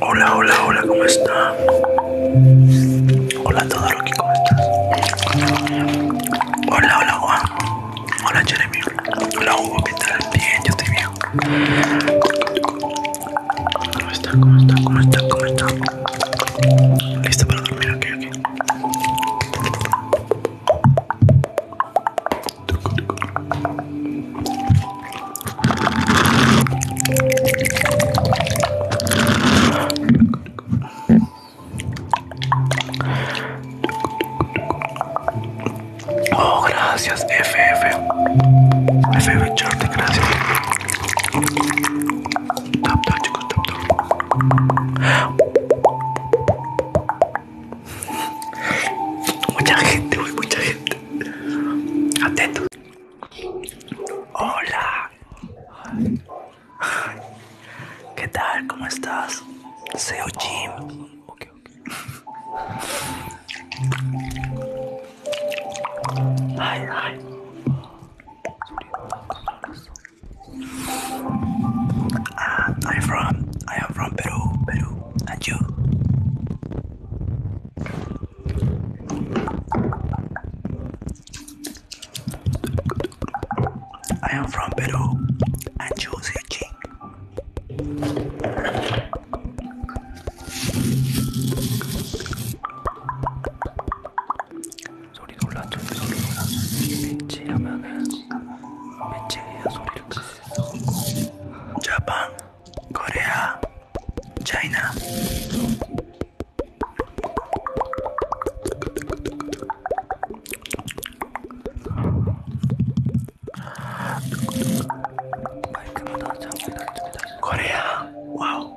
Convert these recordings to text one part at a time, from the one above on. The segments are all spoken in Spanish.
Hola, hola, hola, ¿cómo está? Hola, todo Rocky, ¿cómo estás? Hola, hola, Juan. Hola, Jeremy. Hola, Hugo, ¿qué tal? Bien, yo estoy bien. ¿Cómo está? ¿Cómo está? ¿Cómo está? ¿Cómo está? ¿Listo para dormir? aquí, aquí. Oh, graças, F F, F gracias. Tap, tap, chicos, tap, Mucha gente, mucha gente. Atentos. Hola. ¿Qué tal? ¿Cómo estás? Seo Jim. Ay, ay. Uh, I'm from I am from Peru, Peru, and you? I am from Peru, and you, Searching. 소리 놀랐죠? 소리 놀랐죠? 민치라면은 민치가 소리를 Japan, Korea, China. Korea, wow,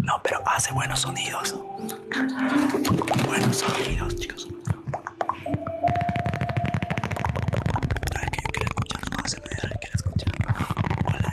No, pero hace buenos sonidos. Buenos sonidos, chicos. Sabes que yo quiero escuchar su que quiero escuchar Hola.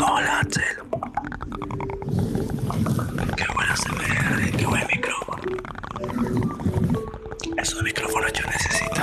Hola, Axel. Qué buena se ve, qué buen micrófono. de micrófonos yo necesito.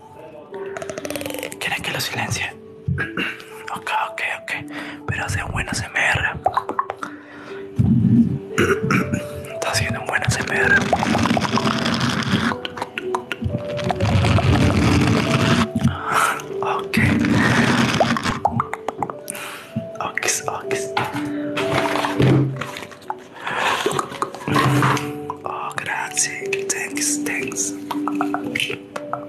¿Quieren que lo silencie? ok, ok, ok. Pero hacen buen ASMR. Está haciendo un buen ASMR. Ok. Ok, ok. Oh, gracias. Thanks, thanks.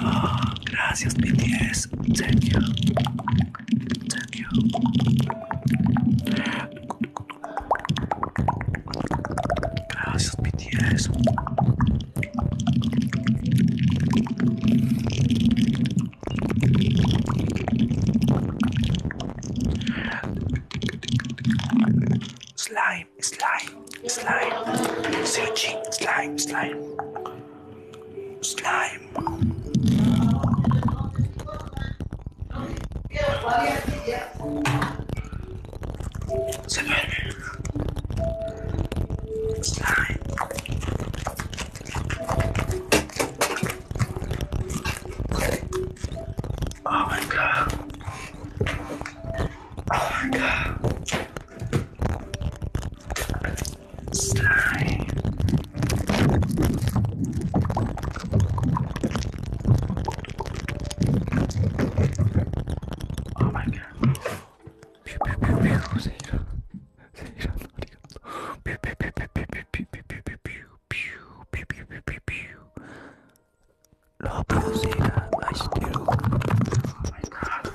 Oh, gracias, BTS. Thank you. Thank you. Gracias, BTS. Slime, slime slime, searching, slime, slime, slime. Oh my god. Oh my god. Oh my god. Pew pew pew pew. Zeta. Zeta. Pew pew pew pew pew pew pew pew pew pew. Pew pew pew pew pew pew. Love Zeta. I still. Oh my god.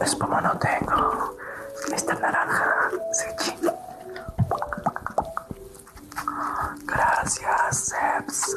Es como no tengo esta naranja, sí. Gracias, Seps.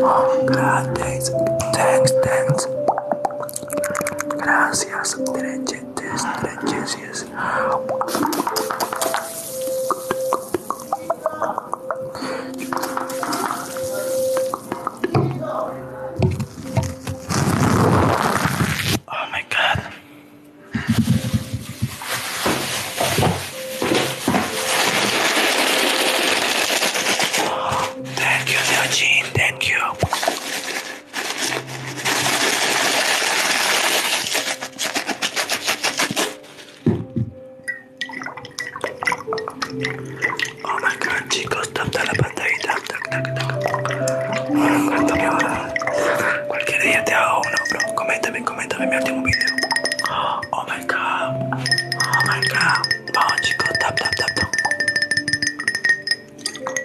Oh, Gracias, thanks, thanks. Gracias, treches, treches, Oh my God. Thank you, Eugene. Thank you. Oh my god, chicos, tap la pantalla, Tac, tac, tac. Oh, cuánto me va. Cualquier día te hago uno, bro. Coméntame, coméntame mi último video. Oh my god. Oh my god. Vamos, chicos, tap, tap, tap, tap.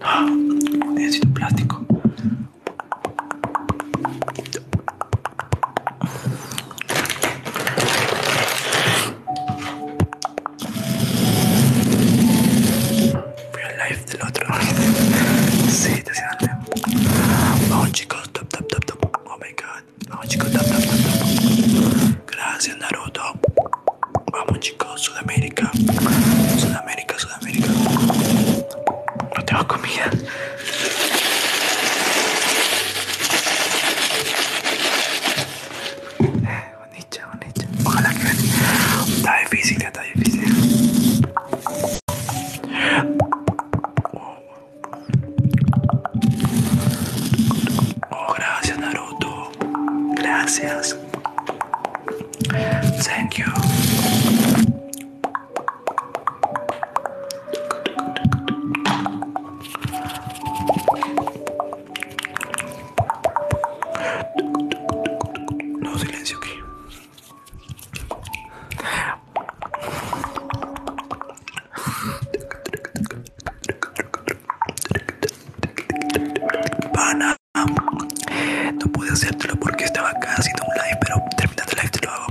Ah, plástico. Real life del otro. Sí, te Vamos chicos, top, top, top. Oh my god. Vamos chicos, tap, tap, Gracias Naruto. Vamos chicos, Sudamérica. Sudamérica, Sudamérica. No tengo comida. Bonito, bonito. Ojalá que ven. Está difícil, está difícil. Oh, gracias Naruto. Gracias. Thank you. No, silencio aquí no pude hacértelo porque estaba acá haciendo un live, pero terminando el este live te lo hago,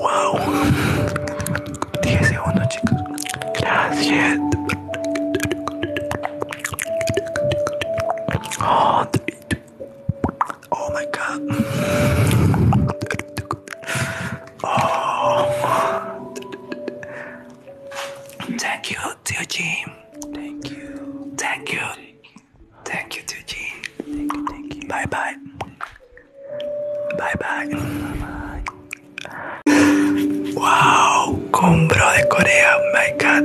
wow. 10 segundos, chicos. Gracias. Oh, my god. Oh. Thank you, to Jim. Thank you. Thank you. Thank you, dear Jim. Thank you, thank you. Bye bye. Bye bye. Wow, combo de Corea, my god.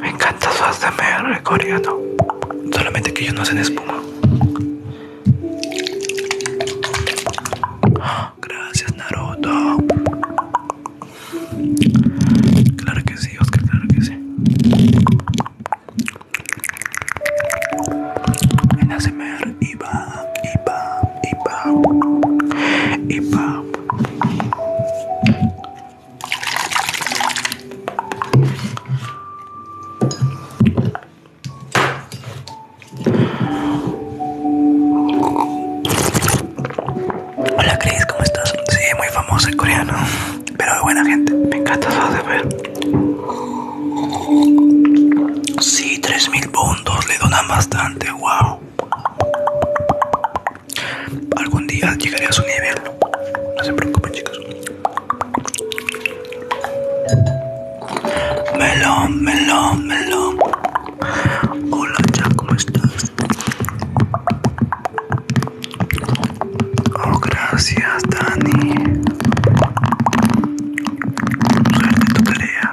Me encanta su ASMR coreano. Solamente que ellos no hacen espuma. Gracias, Naruto. Claro que sí, Oscar, claro que sí. En ASMR y va, y y Hola Chris, ¿cómo estás? Sí, muy famoso en coreano, pero de buena gente. Me encanta saber. Sí, Sí, 3000 puntos le donan bastante bastante, Algún día llegaré a su nivel. No se preocupen, chicos. Melón, melón, melón. Hola, Jack ¿cómo estás? Oh, gracias, Dani. Suerte tu tarea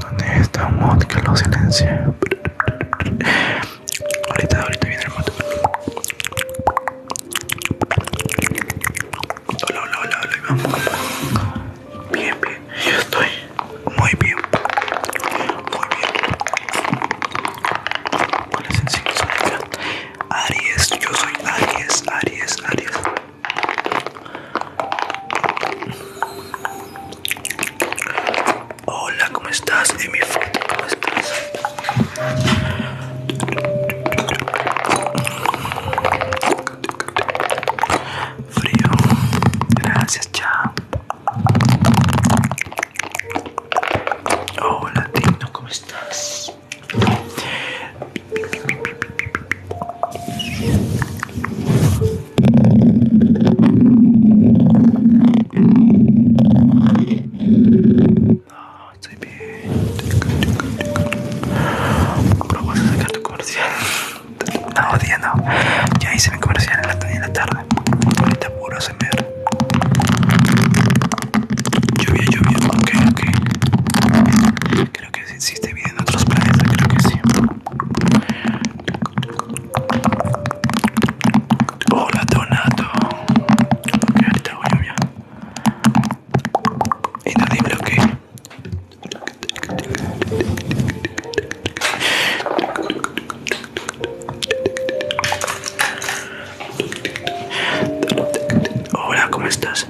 ¿Dónde está un mod que lo silencia? Ahorita, ahorita viene el mod. Hola, hola, hola, hola. Bien, bien. Yo estoy muy bien. Muy bien. Aries, yo soy Aries, Aries, Aries. Hola, ¿cómo estás? En mi ¿cómo estás? Frío. Gracias, chao. Hola, Tino, ¿cómo estás? No, estoy bien. sacar tu comercial. No, no. Ya hice mi comercial en la, tarde tarde. puro Lluvia, lluvia, ok, ok. Creo que sí, sí te en otros planetas, creo que sí. Hola, Donato. Ok, ahorita hago lluvia. Inaudible, ok. Hola, ¿cómo estás?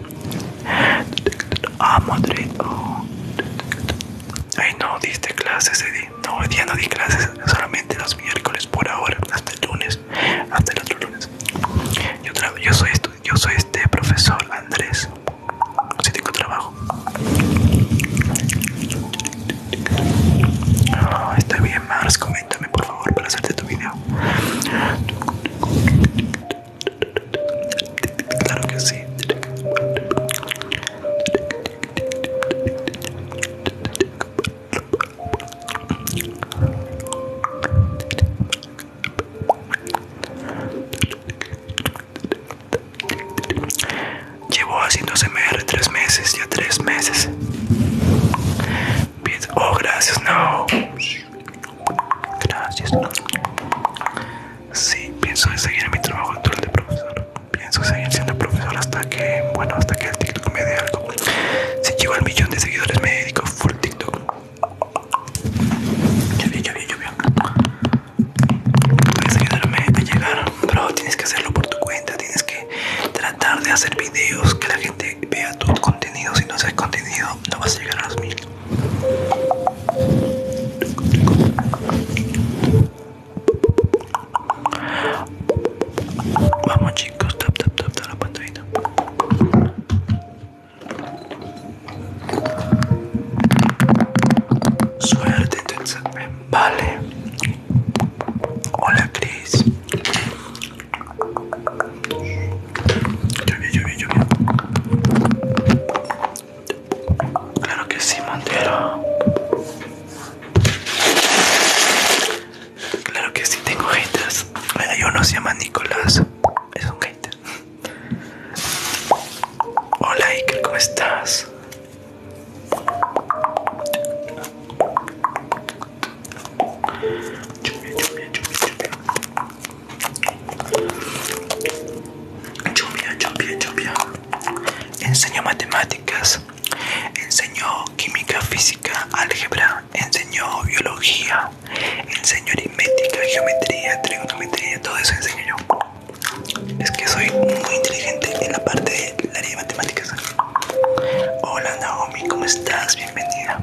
Ah, Madrid. Ay, no diste clases, Eddie. No, hoy día no di clases. Solamente los miércoles por ahora, hasta el lunes, hasta el otro lunes. Yo, soy yo soy este profesor Andrés. Si tengo trabajo. Ah, está bien, Mars. Coméntame por favor para hacerte tu video sí. Llevo haciendo CMR tres meses, ya tres meses. Oh, gracias, no. Gracias. Sí, pienso seguir en mi trabajo actual de profesor. Pienso seguir siendo profesor hasta que, bueno, hasta que el TikTok me dé algo. Si llego al millón de seguidores me dedico full TikTok. Ya vi, ya vi, ya vi. Puedes ayudarme a llegar, pero tienes que hacerlo por tu cuenta. Tienes que tratar de hacer videos que la gente vea tu contenido si no ha contenido, no vas a llegar a los mil. Vamos chicos, tap tap tap tap la pantalla. Suerte entonces, vale. Hola Chris. Lluvia, lluvia, lluvia. Claro que sí, Montero. Claro que sí, tengo haters. Hay uno se llama Nicolás. Es un hater. Hola, Iker, ¿cómo estás? Lluvia, lluvia, lluvia, lluvia. Chupia, chupia. Enseñó matemáticas, enseñó química, física, álgebra, enseñó biología, enseñó aritmética, geometría, trigonometría, todo eso enseño yo. Es que soy muy inteligente en la parte del área de matemáticas. Hola Naomi, ¿cómo estás? Bienvenida.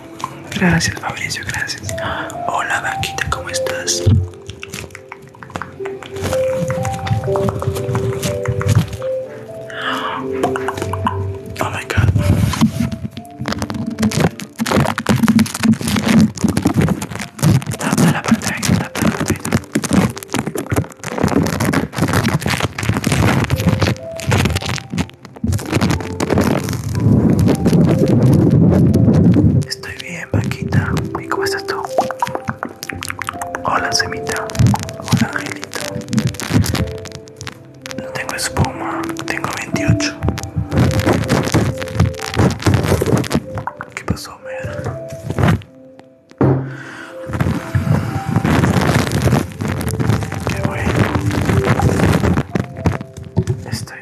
Gracias, Fabricio, gracias. Hola, Vaquita, ¿cómo estás? Oh my god. Tapa la parte, tapa la pantalla. Estoy bien, vaquita, ¿Y cómo estás tú? Hola, Semita. Hola, Angelita. No tengo espuma, tengo 28. ¿Qué pasó, Mer? Qué bueno. Estoy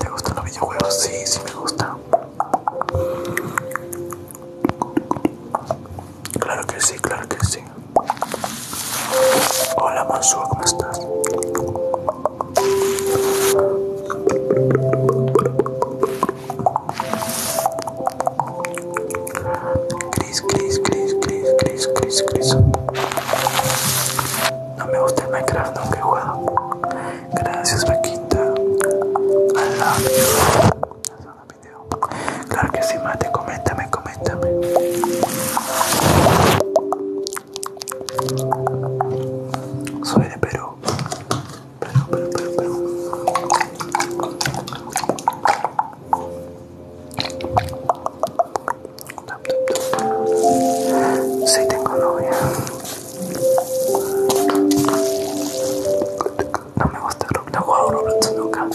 ¿Te gustan los videojuegos? Sí, sí me gusta. Claro que sí, claro que sí. Hola Mansua ¿cómo estás? Cris, Cris, Cris, Cris, Cris, Cris, Cris. No me gusta el Minecraft, nunca he jugado. Gracias, Vaquita. I love you. Claro que sí, mate. Coméntame, coméntame. Soy de Perú. Perú, Perú, Perú, Perú. Si sí, tengo novia. No me gusta Roblox, no he jugado nunca.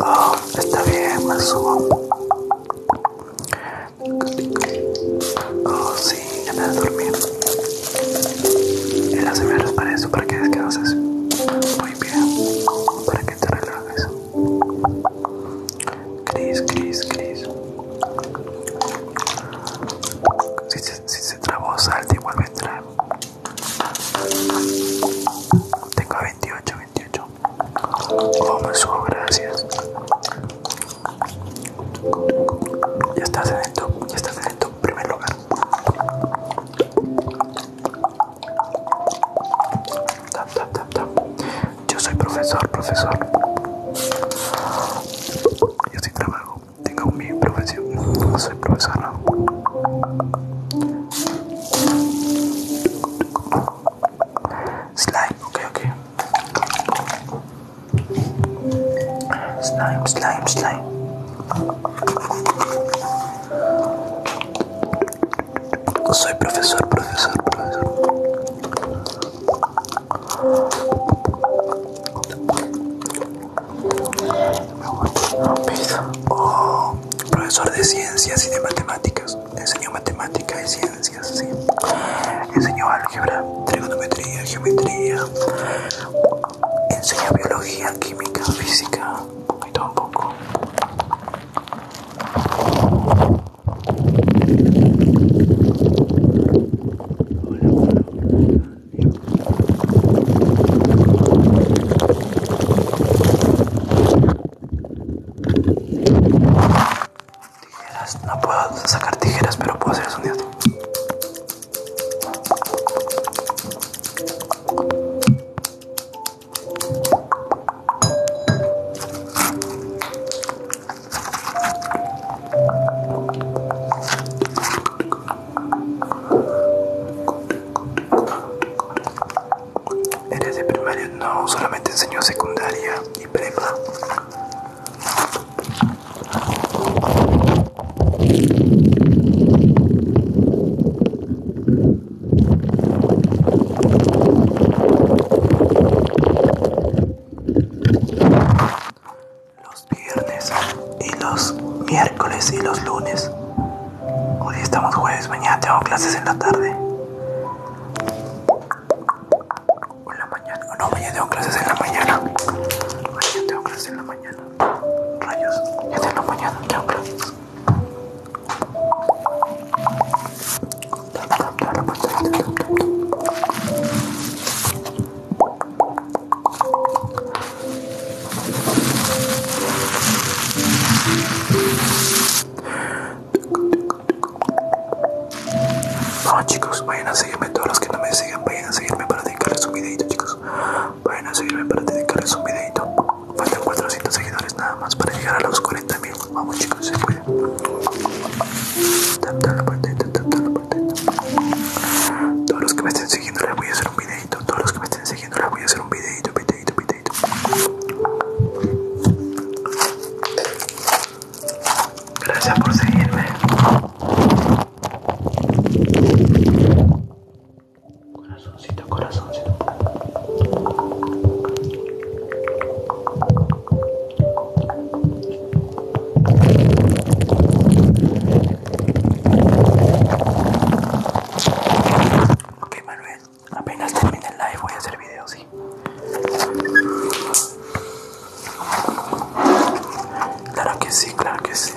Oh, está bien, me subo. Oh, sí, ya me dormir. Y las para eso, para que descanses. Muy bien, para que te relajes. Cris, Cris, Cris. Si se, trabó se trabó, vuelve a entrar Tengo a 28, 28. Vamos, gracias. Ya estás adentro, ya estás en primer lugar. Tap, tap, tap, tap. Yo soy profesor, profesor. Yo sí trabajo, tengo mi profesión. Soy profesor. Slime, ok, ok. Slime, slime, slime soy profesor, profesor, profesor. Oh, profesor de ciencias y de matemáticas. Enseño matemáticas y ciencias, sí. Enseño álgebra, trigonometría, geometría. Enseño biología, química, física. Un poquito, un poco. Tijeras, no puedo sacar tijeras, pero puedo hacer sonido. Eres de primaria, no, solamente enseño secundaria y prepa. Los viernes y los miércoles y los lunes. Hoy estamos jueves, mañana tengo clases en la tarde. O en la mañana. no, mañana tengo clases en la mañana. Mañana tengo clases en la mañana. Rayos, ya tengo mañana, tengo clases. Vamos ah, chicos, vayan a seguirme todos los que no me sigan, vayan a seguirme para dedicarles un videito chicos, vayan a seguirme para dedicarles un videito, faltan 400 seguidores nada más para llegar a los 40 mil, vamos se Todos los que me estén siguiendo les voy a hacer un videito. Todos los que me estén siguiendo les voy a hacer un videito, videito, videito. Gracias por seguirme. Corazoncito, corazoncito. Ok Manuel, apenas termine el live voy a hacer video, sí. Claro que sí, claro que sí.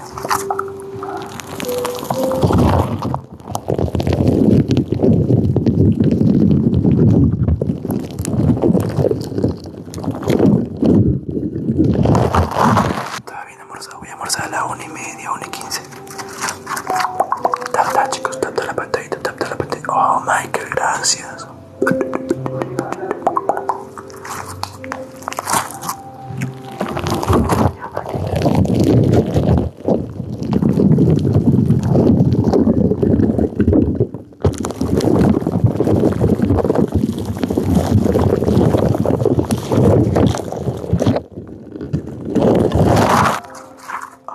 Estaba bien voy a almorzar a las 1 y media, y 15. Tap, chicos, tap, la tap, la patadita, Oh, Michael, gracias. Oh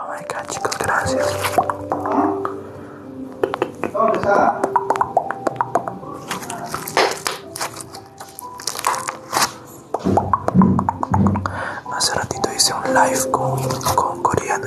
my god, chicos, gracias. Hace ratito hice un live con, con coreano.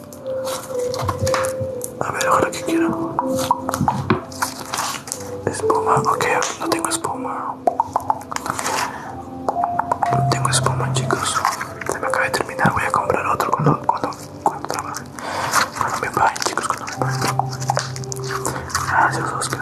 A ver, ahora que quiero. Espuma, ok, no tengo espuma. No tengo espuma, chicos. Se me acaba de terminar, voy a comprar otro cuando, cuando, cuando trabaje. Cuando me paguen, chicos, cuando me Gracias, Oscar.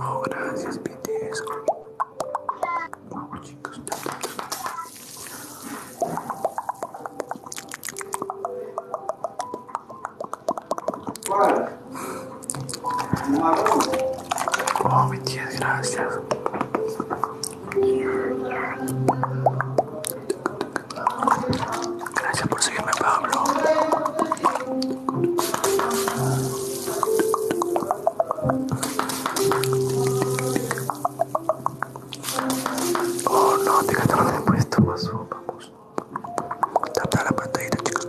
Oh, gracias, BTS. Vamos, chicos. Oh, BTS, gracias. Gracias por seguirme, Pablo. Oh no, te gastaron de puesto, vaso, vamos. Tata la pantalla chicos.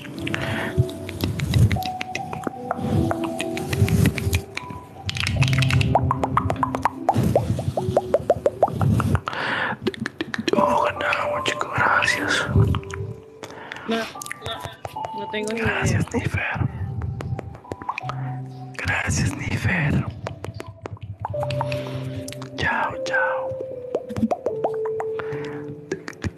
Oh, ganaba, chico, gracias. No, no, no tengo ni idea. Gracias, Nifer. Gracias, Nifer. Chao, chao.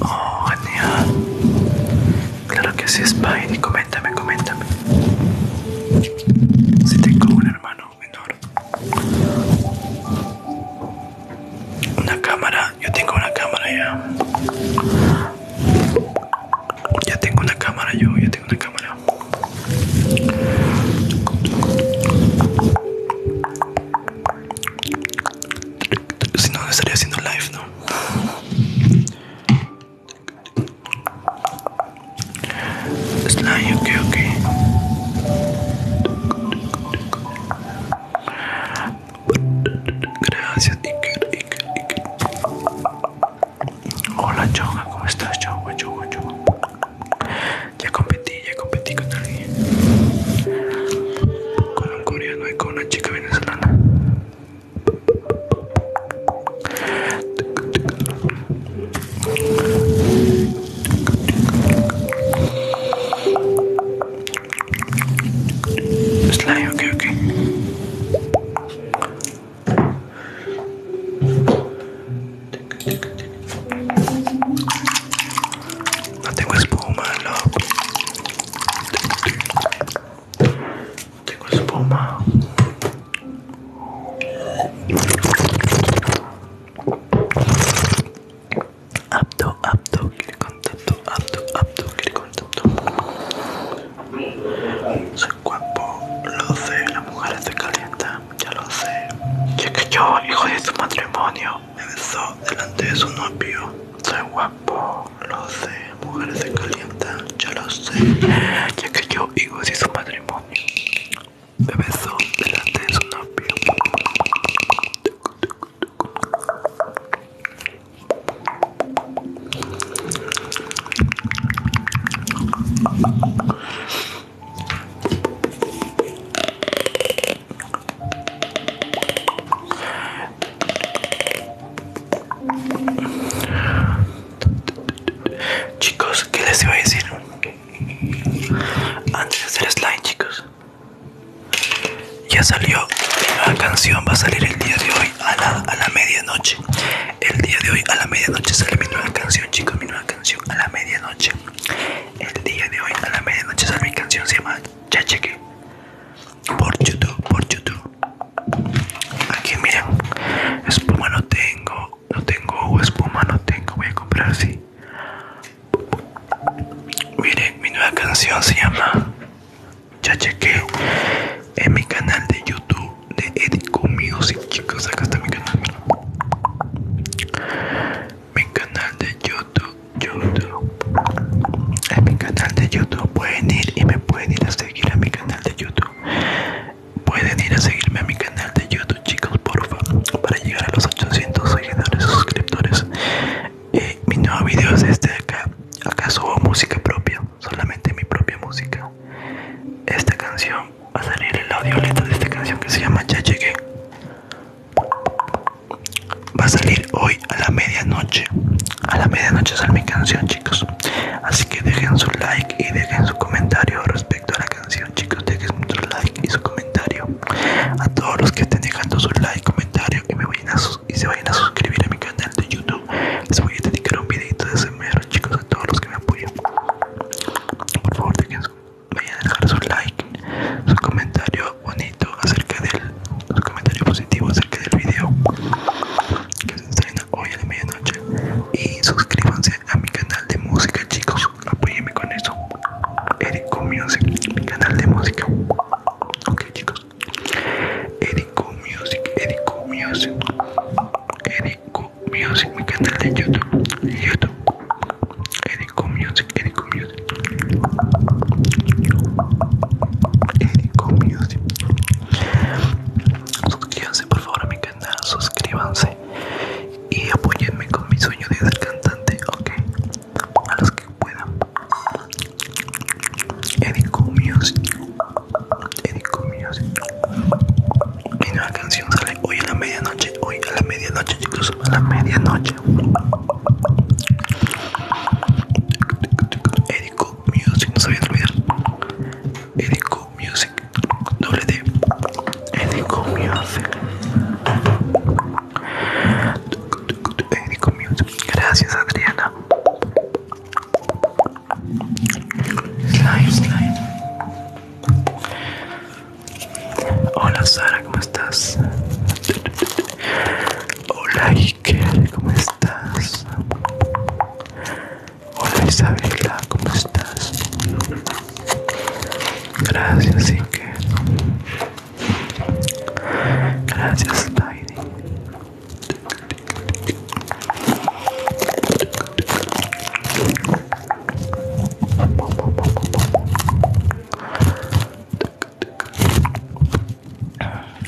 Oh, Claro que sí, Spidey. Coméntame, coméntame. Si tengo un hermano menor. Una cámara, yo tengo una cámara ya. Ya tengo una cámara yo, ya tengo una cámara. Si no, estaría haciendo live, ¿no? Slime, ok, ok. Gracias, Iker, Iker, Iker. Hola, Choga, ¿cómo estás? Choga, Choga, Choga. Ya competí, ya competí con alguien. Con un coreano y con una chica venezolana. Just lie, okay, okay. No tengo espuma, love. Tengo espuma. apto, apto, quiere contacto, apto, apto, quiere contacto. Soy guapo, lo sé, las mujer se calienta, ya lo sé. Ya que yo, hijo de su matrimonio, me besó delante de su novio. Soy guapo, lo sé, mujer se calienta, ya lo sé. Ya que yo, hijo de su matrimonio, me besó delante de su novio. Chicos, ¿qué les iba a decir? Antes de hacer slime, chicos ya salió mi nueva canción, va a salir el día de hoy a la, a la medianoche. El día de hoy a la medianoche sale mi nueva canción, chicos, mi nueva canción a la medianoche. El día de hoy a la medianoche sale mi canción, se llama Ya Cheque. Por YouTube, por YouTube. Aquí miren, espuma no tengo, no tengo espuma, no tengo, voy a comprar sí Miren, mi nueva canción se llama ya chequeo en mi canal de YouTube de Edico Music, chicos. Acá está mi canal. Mi canal de YouTube, YouTube. En mi canal de YouTube pueden ir y me pueden ir a seguir a mi canal de YouTube. Pueden ir a seguirme a mi canal de YouTube, chicos, porfa, para llegar a los 800 seguidores suscriptores eh, mi nuevo video es este de acá acá subo música propia solamente mi propia música esta canción va a salir el audio letra de esta canción que se llama ya llegué va a salir hoy a la medianoche a la medianoche sale mi canción chicos así que dejen su like y dejen su comentario respecto a la canción chicos dejen su like y su comentario a todos los que estén dejando su like comentario que me voy a y se vayan a suscribir a mi canal de YouTube. Les voy a dedicar un videito de SMR, chicos, a todos los que me apoyan. Por favor, dejen, vayan a dejar su like, su comentario bonito acerca del su comentario positivo acerca del video que se estrena hoy a la medianoche. Y suscríbanse a mi canal de música, chicos. apoyenme con eso. Erico Music, mi canal de música. Ok, chicos. Eriko Music, Eriko Music, Eriko Music, mi canal de YouTube, YouTube, Edico Music, Eriko Music, Eriko Music. Suscríbanse por favor a mi canal, suscríbanse y apóyenme con mi sueño de ser cantante, ok, a los que puedan. Edico Music Edico Music Mi nueva canción sale hoy a la medianoche Hoy a la medianoche incluso A la medianoche Edico Music No se vayan a olvidar Edico Music Doble D Edico Music Edico Music Gracias Adriana Slime, slime. Hola Sara, ¿cómo estás? Hola Iker, ¿cómo estás? Hola Isabela, ¿cómo estás? Gracias Iker. Gracias Lady.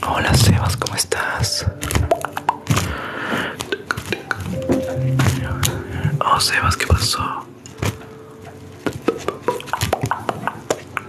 Hola Sebas, ¿cómo estás? Oh Sebas, ¿qué pasó?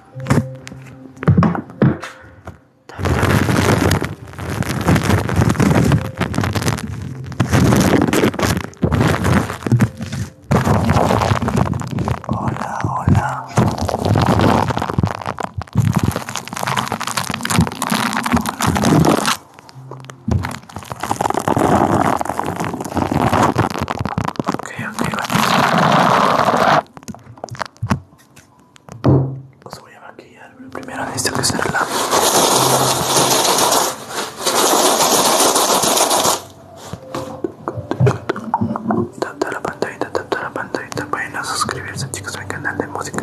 Hola, hola ok, ok, Os pues voy a maquillar, pero primero necesito que se relaje. tapta la pantallita, tapta la pantallita. Vayan a suscribirse, chicos, a mi canal de música.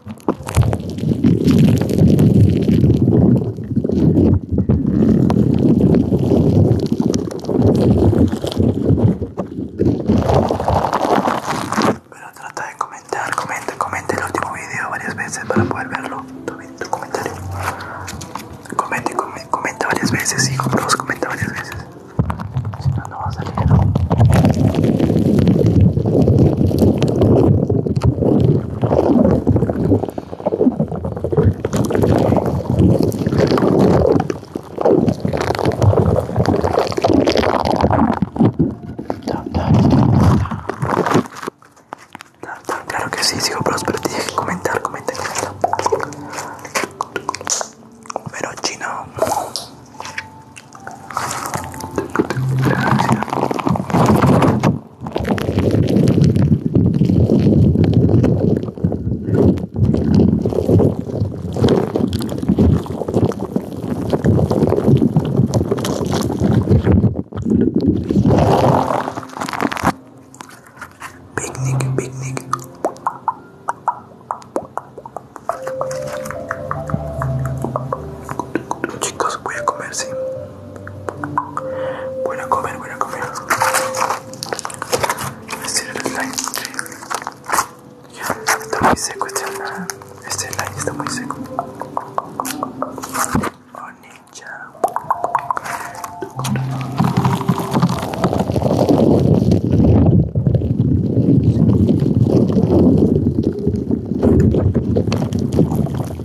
Pero trata de comentar, comenta, comenta el último video varias veces para poder verlo. tu comentario. Comenta, comenta, varias veces, hijo, por favor, comenta varias veces. Si no, no va a salir. Claro que sí, sigo prospero tienes que comentar, comentar comenta. Pero chino. Picnic, picnic. Chicos, voy a comer, sí. Buena comer, buena comer. Este era el slime. Está muy seco este slime. Este slime está muy seco. Oh ninja.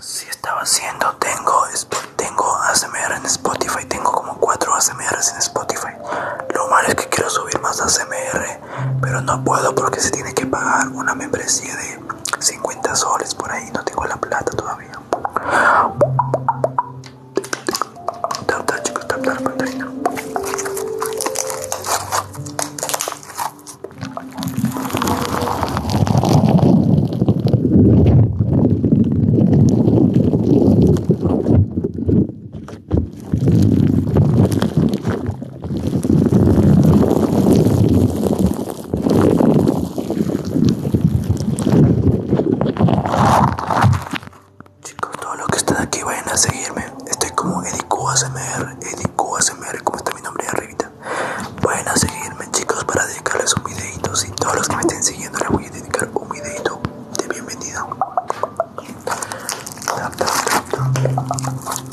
Si estaba haciendo, tengo, tengo ASMR en Spotify, tengo como 4 ASMR en Spotify. Lo malo es que quiero subir más ASMR, pero no puedo porque se tiene que pagar una membresía de 50 soles por ahí, no tengo la plata todavía. Tap tap chicos, tap tap Chicos, todos los que están aquí vayan a seguirme. Estoy como Edicu ASMR, ¿Cómo como está mi nombre de arribita. Vayan a seguirme, chicos, para dedicarles un videito. Y todos los que me estén siguiendo les voy a dedicar un videito de bienvenido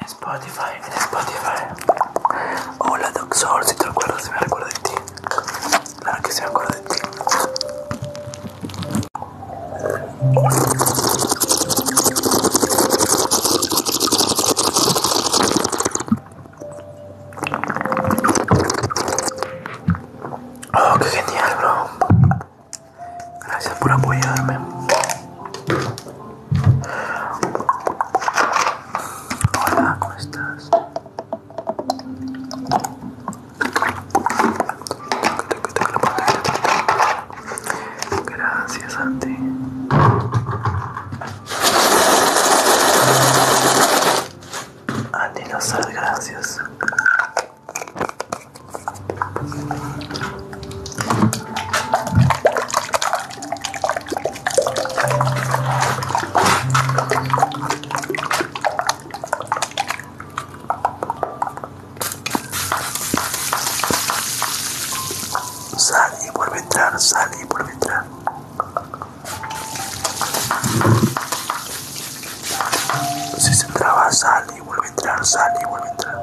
En Spotify, en Spotify. Hola, Doxor, si te acuerdas, si me recuerdo de ti. Claro que sí me acuerdo de ti. Oh, qué genial, bro. Gracias por apoyarme. Hola, ¿cómo estás? Gracias, Andy. Andy, no sé, gracias. Sal y vuelve a entrar, sal y vuelve a entrar. Si se entraba, sal y vuelve a entrar, sal y vuelve a entrar.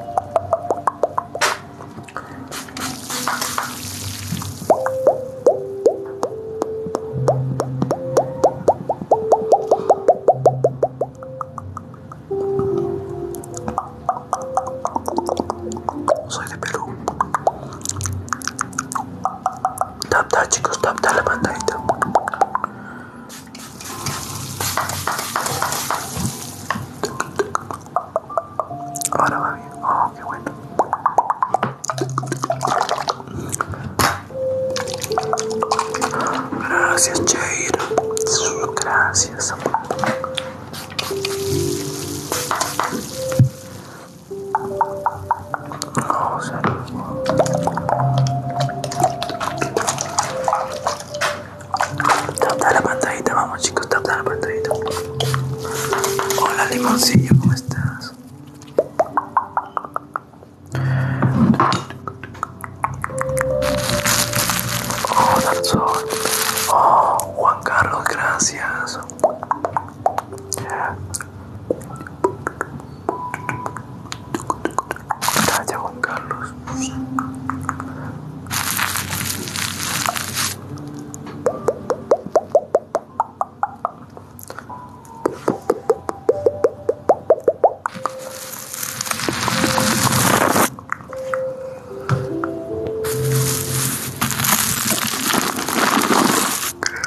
Soy de Perú. Tap tap chicos, tap tap la Ahora va bien. Oh, qué bueno. Gracias, Jair. Gracias. Tapa la pantallita, vamos chicos, tapa la pantallita. Hola limoncillo, ¿cómo estás? Oh, Darzón. Oh, Juan Carlos, gracias. Gracias, Juan Carlos.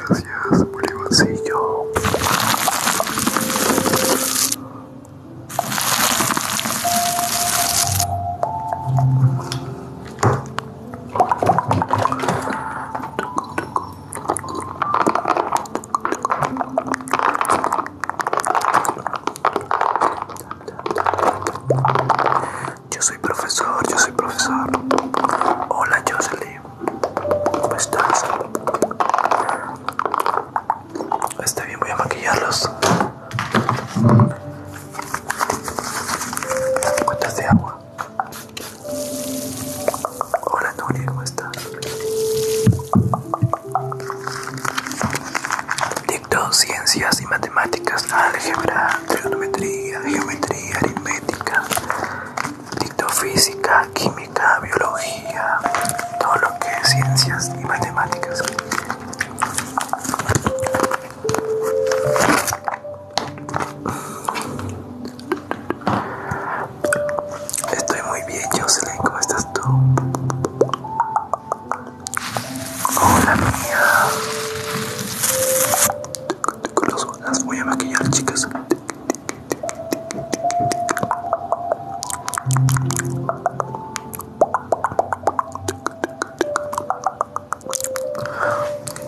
Gracias, Bolívarcillo. Yo soy profesor, yo soy profesor. Hola Leo. ¿cómo estás? Está bien, voy a maquillarlos. Cuentas de agua. Hola Nuria, ¿cómo estás? Dicto, ciencias y matemáticas, álgebra, trigonometría, geometría, aritmética. Dicto, física, química, biología, todo lo que es ciencias y matemáticas. Estoy muy bien, Jocelyn, ¿cómo estás tú? Hola mía. Las voy a maquillar, chicas.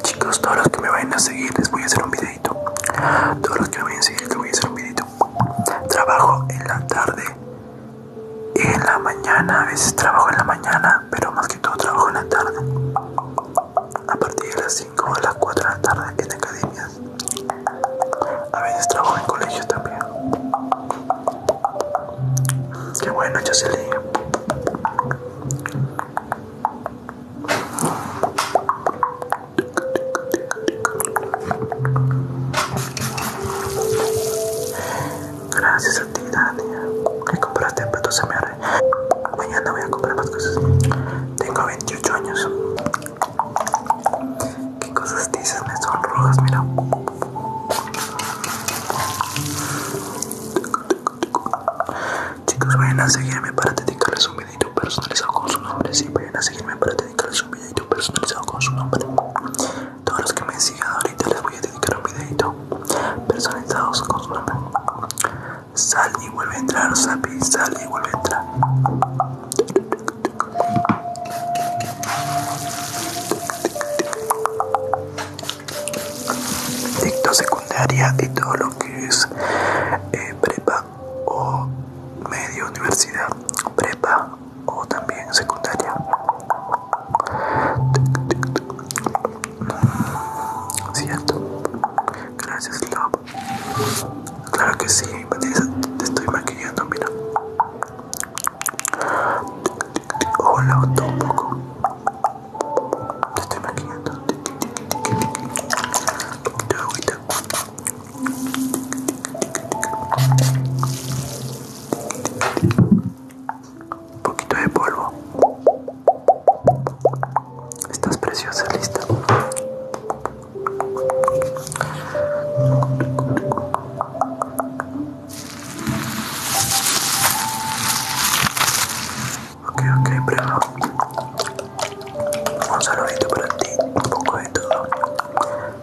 Chicos, todos los que me vayan a seguir les voy a hacer un videito. Todos los que me vayan a seguir les voy a hacer un videito. Trabajo en la tarde, y en la mañana, a veces trabajo en la mañana, pero más que todo trabajo en la tarde. A partir de las 5 o las 4 de la tarde en academias. A veces trabajo en colegios también. Qué bueno, Jocelyn. Gracias a ti, Dania. Que compraste se me arre Mañana voy a comprar más cosas. Tengo 28 años. ¿Qué cosas dices? Me son rojas, mira. Chicos, vayan a seguirme para dedicarles un videito personalizado con su nombre. Sí, vayan a seguirme para dedicarles un videito personalizado con su nombre. Todos los que me sigan ahorita les voy a dedicar un videito personalizado con su nombre. Sal y vuelve a entrar, Sapi. Sal y vuelve a entrar dicto secundaria y todo lo que es eh, prepa o medio universidad, prepa o también secundaria. Cierto, gracias, Love. Claro que sí, Vanessa, te estoy maquillando, mira. Hola, un poco. Te estoy maquillando. de agüita. Un poquito de polvo. Estás preciosa, lista. Ok, ok, pero. Un saludito para ti, un poco de todo.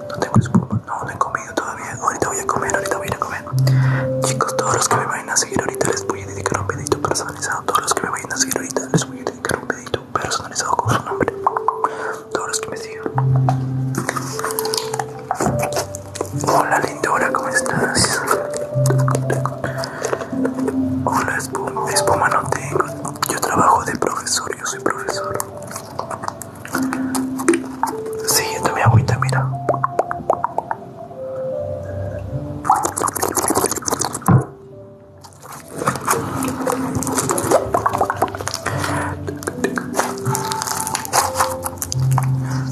No tengo espuma, no, no he comido todavía. Ahorita voy a comer, ahorita voy a comer. Chicos, todos los que me vayan a seguir ahorita les voy a dedicar un pedito personalizado. Todos los que me vayan a seguir ahorita les voy a dedicar un pedito personalizado con su nombre. Todos los que me sigan. Hola lindura, ¿cómo estás? Hola espuma, espuma no tengo. Yo trabajo de profesor, yo soy profesor. Sí, mi agüita, mira.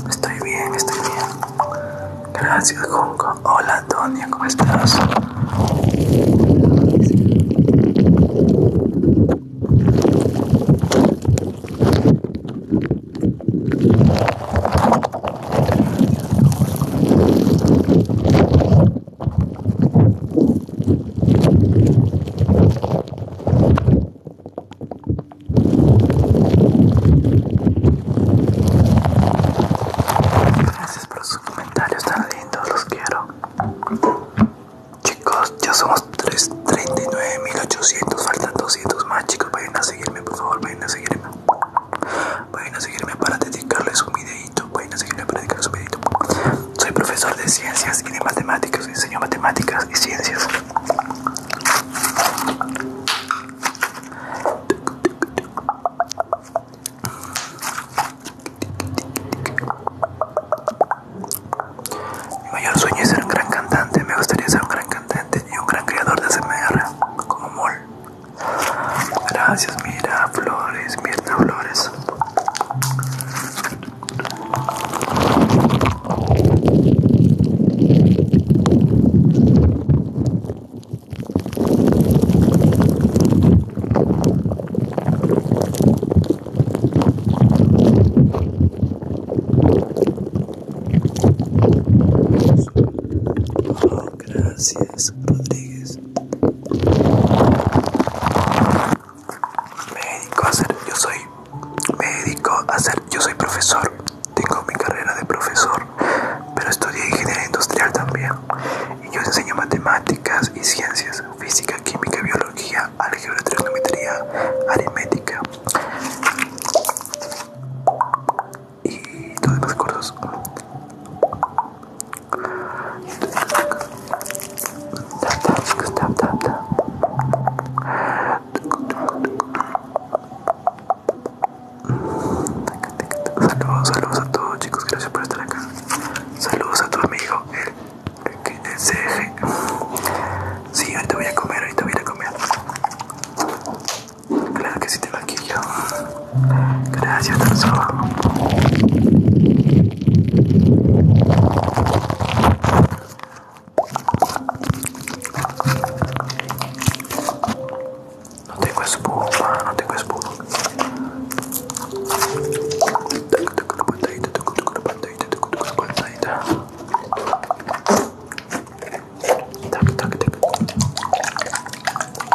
Estoy bien, estoy bien. Gracias, Junco. Hola, Antonia, ¿cómo estás? Gracias por sus comentarios tan lindos, los quiero. Chicos, ya somos 39.800, faltan 200 más, chicos. Vayan a seguirme, por favor, vayan a seguirme. Vayan a seguirme para dedicarles un videito. Vayan a seguirme para dedicarles un videito. Soy profesor de ciencias y de matemáticas, enseño matemáticas y ciencias. Mi mayor sueño es ser un gran cantante. Me gustaría ser un gran cantante y un gran creador de SMR como Mol. Gracias, mira, flores, mira Flores gracias, Rodríguez. Médico dedico hacer, yo soy, Médico dedico hacer, yo soy profesor tengo mi carrera de profesor, pero estudié ingeniería industrial también. Y yo enseño matemáticas y ciencias, física, química, biología, álgebra, trigonometría, aritmética y todos los demás cursos. Saludos, saludos a todos chicos, gracias por estar acá. Saludos a tu amigo, el, sg CG. Sí, ahorita voy a comer, ahorita voy a comer. Claro que sí te va yo. Gracias, Tarso. No tengo espuma, no tengo espuma.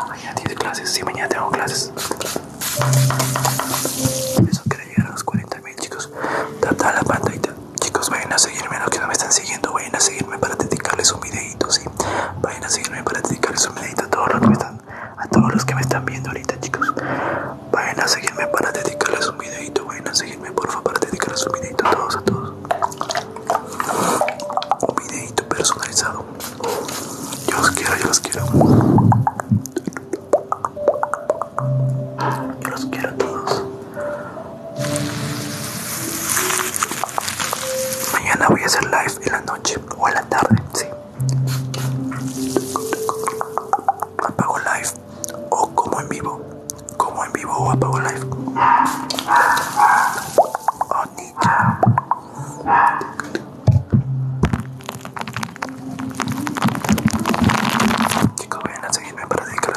Mañana tiene clases, sí, mañana tengo clases. Eso quiere llegar a los 40 mil, chicos. Tata la pantalla, chicos. Vayan a seguirme los que no me están siguiendo. Vayan a seguirme para dedicarles un video Vayan a seguirme para dedicarles un videito a todos los que me están, a todos los que me están viendo ahorita, chicos. Vayan a seguirme para dedicarles un videito. Vayan a seguirme, por favor, para dedicarles un videito a todos, a todos. Un videito personalizado. Yo los quiero, yo los quiero. Yo los quiero a todos. Mañana voy a hacer live en la noche o en la tarde, sí. Apago live o como en vivo. Como en vivo o apago live. Oh, Chicos, vayan a seguirme para dedicar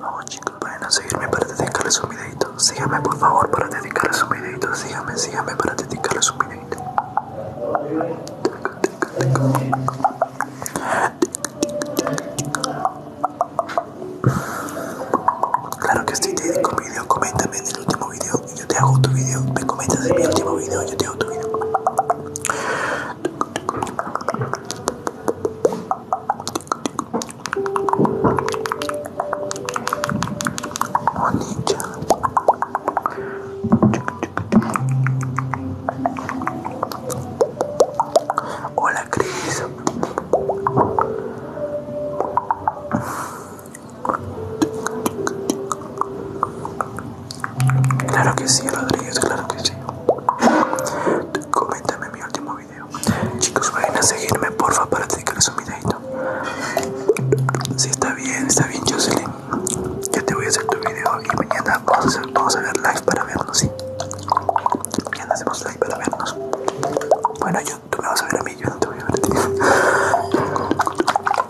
Vamos chicos, para seguirme para dedicarles un videito. Síganme por favor para dedicarles un videito. Síganme, síganme para dedicarles un videito. Claro que estoy te dedico video, coméntame en el último video y yo te hago tu video. Me comentas en mi último video y yo te hago otro video. Hola Cris. Claro que sí, Rodríguez, claro que sí. Coméntame mi último video. Chicos, vayan a seguirme, porfa, para dedicarles un videito. Si sí, está bien, está bien, Jocelyn. Ya te voy a hacer tu video y mañana vamos a, a ver live para vernos, ¿sí? Mañana hacemos live para vernos. Bueno, yo, tú me vas a ver a mí, yo no te voy a ver a ti.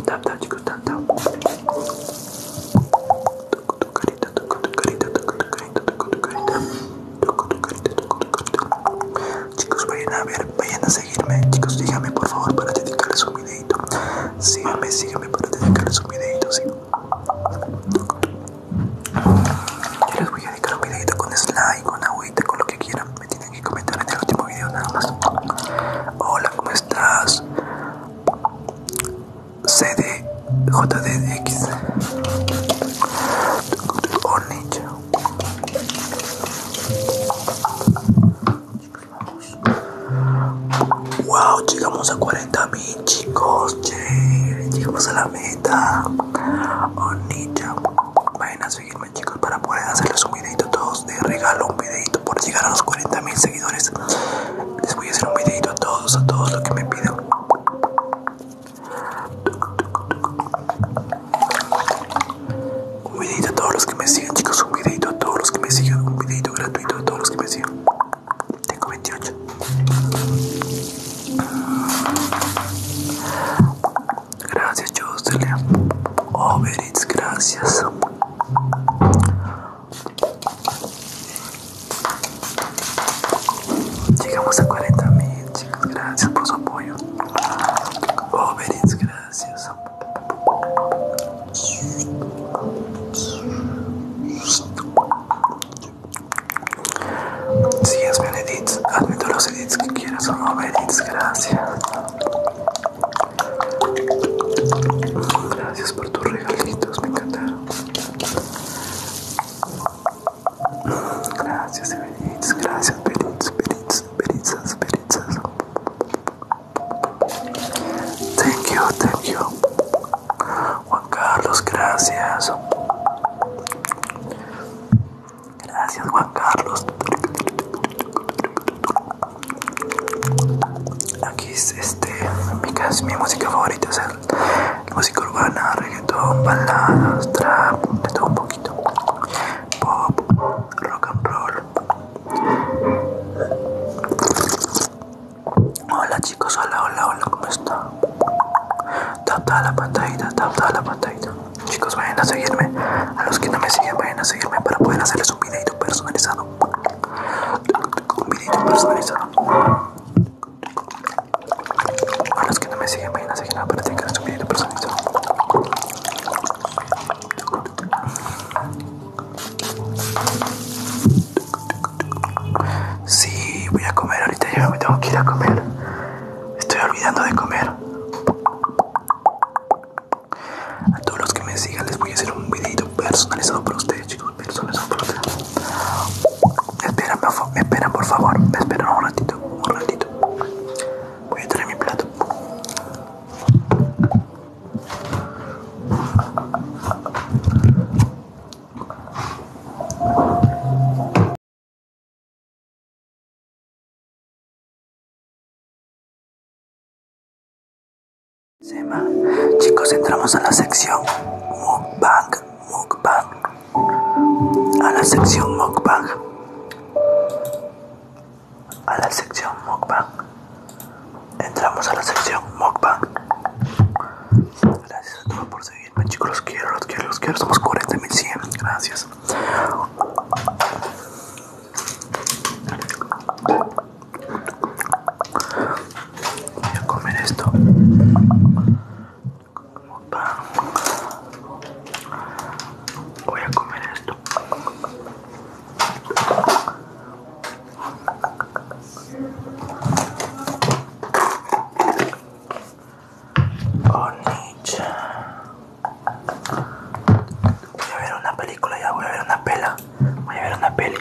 Tap, chicos, tap, tu carita, toco tu carita, toco tu carita, toco tu carita, toco tu carita, toco tu carita. Chicos, vayan a ver, vayan a seguirme. Chicos, díganme por favor para dedicarles un videito. Síganme, síganme para dedicarles un videito, sí. Yo les voy a dedicar un videito con slide, con agüita, con lo que quieran. Me tienen que comentar en el último video nada más. Hola, ¿cómo estás? CDJDX Ornich Wow, llegamos a 40.000 chicos, che. llegamos a la meta. nicho vayan a seguirme chicos para poder hacerles un videito todos de regalo, un videito por llegar a los 40.000 seguidores. Les voy a hacer un videito a todos, a todos los que me pidan. Un videito a todos los que me siguen, chicos. Un videito a todos los que me sigan, Un videito gratuito a todos los que me sigan. Tengo 28. Gracias, Jocelyn. Oh, gracias. Llegamos a 40 mil, Gracias por su apoyo. Overits, gracias. Si es mi edit. Hazme todos los edits que quieras. Son gracias. Gracias por tus regalitos, me encantaron. Gracias, gracias Gracias, gracias Thank you, Juan Carlos, gracias. Gracias, Juan Carlos. Aquí es este, mi, mi música favorita es Música urbana, reggaetón, baladas, trap, de todo un poquito. Pop, rock and roll. Hola chicos, hola, hola, hola, ¿cómo está? Tap, tap la pantalla, tap, tap la pantalla. Chicos, vayan a seguirme. A los que no me siguen, vayan a seguirme para poder hacerles un video personalizado. Un video personalizado. A los que no me siguen, vayan a seguir nada para un video personalizado. Sí, voy a comer. Ahorita ya me tengo que ir a comer. Estoy olvidando de comer. A todos los que me sigan, les voy a hacer un videito personalizado para ustedes, chicos personas espera Me esperan, me espera por favor, me esperan un ratito, un ratito. Voy a traer mi plato. Chicos, entramos a la sección Mukbang, Mukbang a la sección mukbang. A la sección mukbang. Entramos a la sección mukbang. Gracias a todos por seguirme, chicos. Los quiero, los quiero, los quiero. Somos 40.100. Gracias. Voy a comer esto. Voy a comer esto. Voy a ver una película ya, voy a ver una pela. Voy a ver una peli.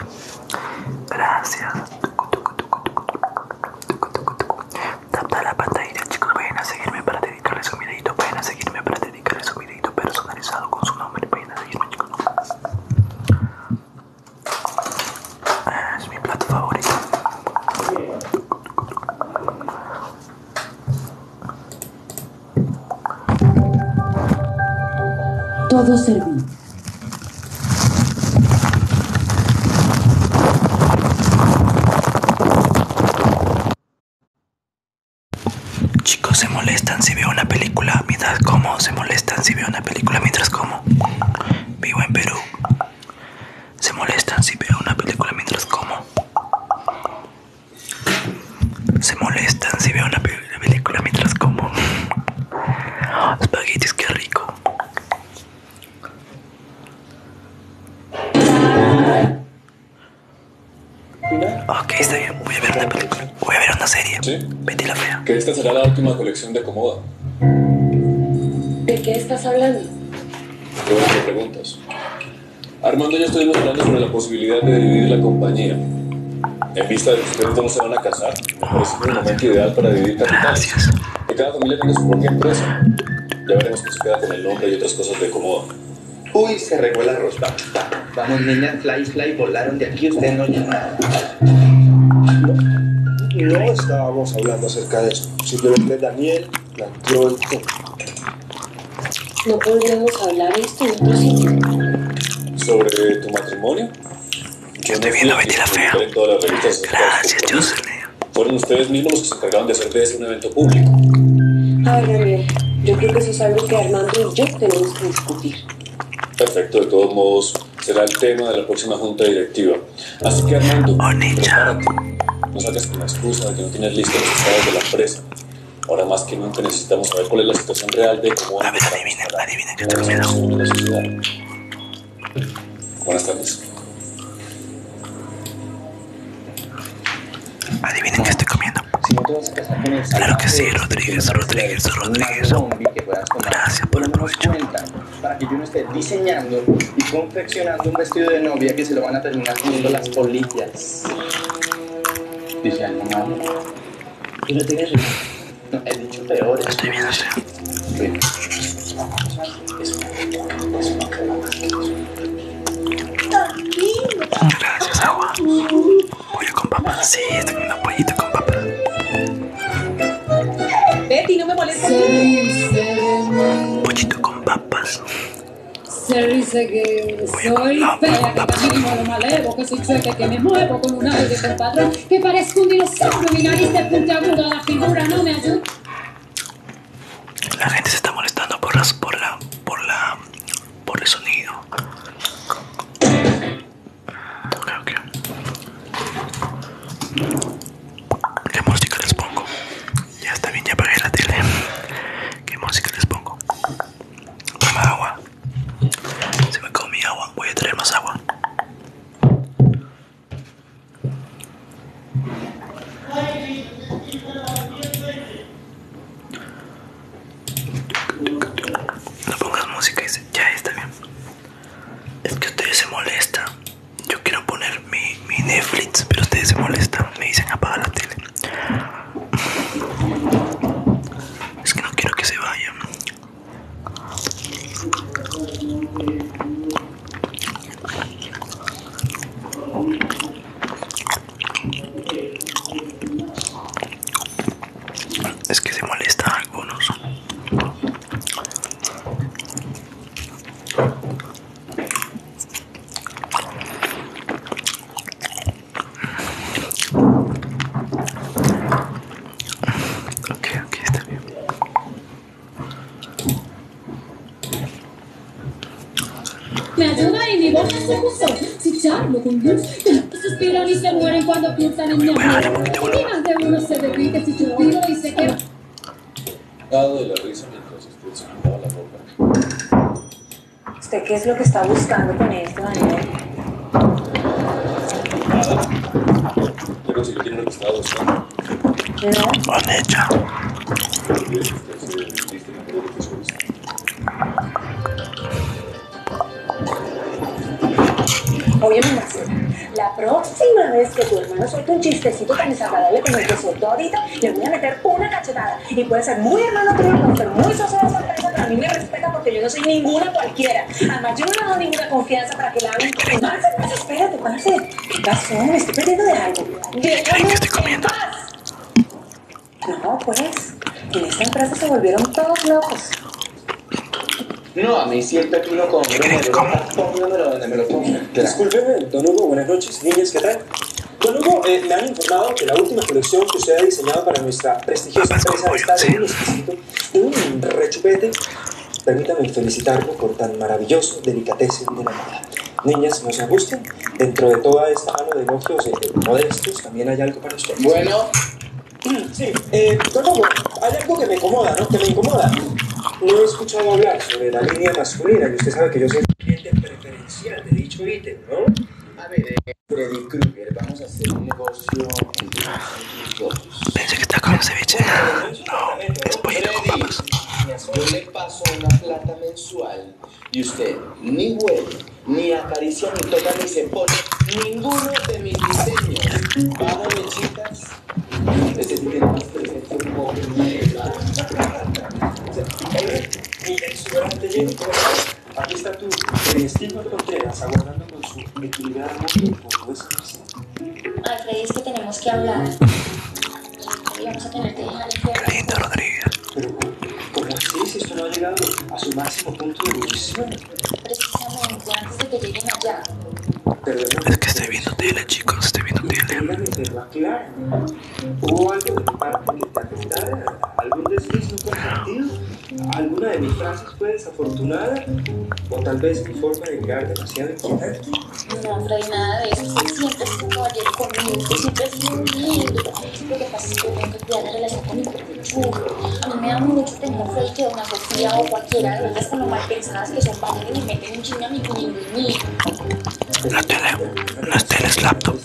Gracias. Capta la pantalla, chicos. Vayan a seguirme para dedicarles un videito. Vayan a seguirme para dedicarles su videito personalizado con su nombre. Vayan a seguirme, chicos. Ah, es mi plato favorito. Todo servido. Chicos se molestan si veo una película mientras como. Se molestan si veo una película mientras como. Vivo en Perú. Se molestan si veo una película mientras como. Se molestan si veo una película mientras como. Espaguetis, qué rico. Ok, está bien. Voy a ver una película. Voy a ver una serie. ¿Sí? Vete la fea. Que esta será la última colección de Comoda. ¿De qué estás hablando? Qué preguntas. Armando y yo estuvimos hablando sobre la posibilidad de dividir la compañía. En vista de que ustedes no se van a casar, Es un momento ideal para dividir capitales. Gracias. Que cada familia tenga su propia empresa. Ya veremos qué se queda con el nombre y otras cosas de cómodo. Uy, se regó el arroz. Vamos, vamos niña, fly, fly, volaron de aquí, ustedes no nada. No estábamos hablando acerca de eso. Simplemente Daniel planteó el tema. No podríamos hablar de esto en otro sitio. ¿Sobre tu matrimonio? Yo te vi en la fea. Gracias, fueron ustedes mismos los que se encargaron de hacer de este un evento público. ver, Daniel, yo creo que eso es algo que Armando y yo tenemos que discutir. Perfecto, de todos modos, será el tema de la próxima junta directiva. Así que Armando, oh, prepárate. No salgas con la excusa de que no tienes listos los estados de la empresa. Ahora más que nunca necesitamos saber cuál es la situación real de cómo... A ver, adivinen, adivinen, yo te Buenas tardes. Adivinen qué estoy comiendo. Claro que sí, Rodríguez, Rodríguez, Rodríguez. Gracias por el provecho. Para que yo no esté diseñando y confeccionando un vestido de novia que se lo van a terminar comiendo las polillas. Dice algo malo. Y no tiene No, he dicho peor. Estoy viendo, Gracias, agua. Pollo con papas. Sí, tengo una pollita con papas. Betty, no me molestes. Pollito con papas. Soy fea, que camino lo malevo, que soy chueca, que me muevo con un aire con patrón, que parezco un dinosaurio, mi nariz de punta aguda, la figura no me ayuda. La gente se está molestando por las, por la, por la, por el sonido. Okay, ¿Qué música les pongo? Ya está bien, ya apagué la tele. ¿Qué música les pongo? Toma agua. Se me comió agua. Voy a traer más agua. No pongas música y ya está bien. Es que ustedes se molestan. Yo quiero poner mi, mi Netflix, pero ustedes se molestan. Me dicen apaga la tele. Es que no quiero que se vaya. Es que se molestan algunos. Ok, aquí está bien. Me ayuda y mi voz se gusto. Si charlo con Dios, suspiran y se mueren cuando piensan en mi amor. Y más de se derrite si suspiro y se quema. Dado de la risa mientras usted se la boca. ¿Usted qué es lo que está buscando con esto, Daniel? Nada. Yo conseguí que tiene lo que estaba buscando. Oye, mi Marcela, la próxima vez que tu hermano suelte un chistecito tan desagradable como el que soltó ahorita, le voy a meter una cachetada. Y puede ser muy hermano tuyo, puede ser muy sosada sorpresa, pero a mí me respeta porque yo no soy ninguna cualquiera. Además, yo no le doy ninguna confianza para que la hagan. pues espérate, Marce. ¿Qué pasó? Me estoy perdiendo de algo. ¿Creen que estoy comiendo? No, pues. En esta empresa se volvieron todos locos. No, a mí siempre aquí lo con. ¿Qué creen lo pongan. Discúlpeme, don Hugo, buenas noches. Niñas, ¿qué tal? Don Hugo, eh, me han informado que la última colección que usted ha diseñado para nuestra prestigiosa empresa está de un exquisito, un rechupete. Permítame felicitarlo por tan maravilloso delicatessen de la moda niñas no se ajusten. Dentro de toda esta mano de elogios modestos también hay algo para esto Bueno. Sí, eh, como, hay algo que me incomoda, ¿no? Que me incomoda. No he escuchado hablar sobre la línea masculina, y usted sabe que yo soy cliente preferencial de dicho ítem, ¿no? A ver, eh, Freddy Krueger, vamos a hacer un negocio entre Pensé que está con un ceviche. No, es pollo con papas paso una plata mensual y usted ni huele, ni acaricia, ni toca, ni se pone ninguno de mis diseños. me chicas. Ese tiene más presencia como mi suerte lleno. Aquí está tú, Celestino Contreras, aguardando con su equilibrado de con Ay, Freddy, es que tenemos que hablar. Y vamos a la Qué lindo, Rodríguez. Pero, como Si esto no ha llegado a su máximo punto de ebullición. Precisamente antes de que lleguen allá. Es que estoy viendo tele, chicos, estoy viendo tele. Claro. ¿Hubo algo parte de mi ¿Algún desliz no compartido? ¿Alguna de mis frases fue desafortunada? ¿O tal vez mi forma de mirar demasiado aquí. No, no nada de eso. Siempre estuvo como ayer conmigo, siempre un lindo. Lo que pasa es que tengo que cuidar la relación con mi Chulo. A mí me da mucho temor fue que Dona Sofía o cualquiera de ellas con lo mal pensadas que son padres y me meten un chingo a mi niño y mí. La tele, las teles laptop.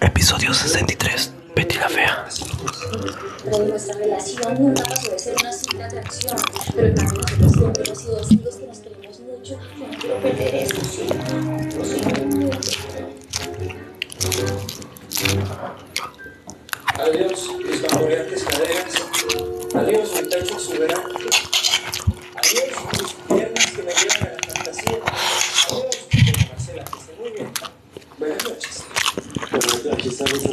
Episodio 63. Betty la fea. Pero nuestra relación nunca pasó de ser una simple atracción, pero también siempre y dos que nos queremos mucho. Adiós, mis caderas. Adiós, mi tacho soberano Adiós, mis piernas que me llevan a la fantasía. Adiós, se Buenas noches. Buenas noches, estamos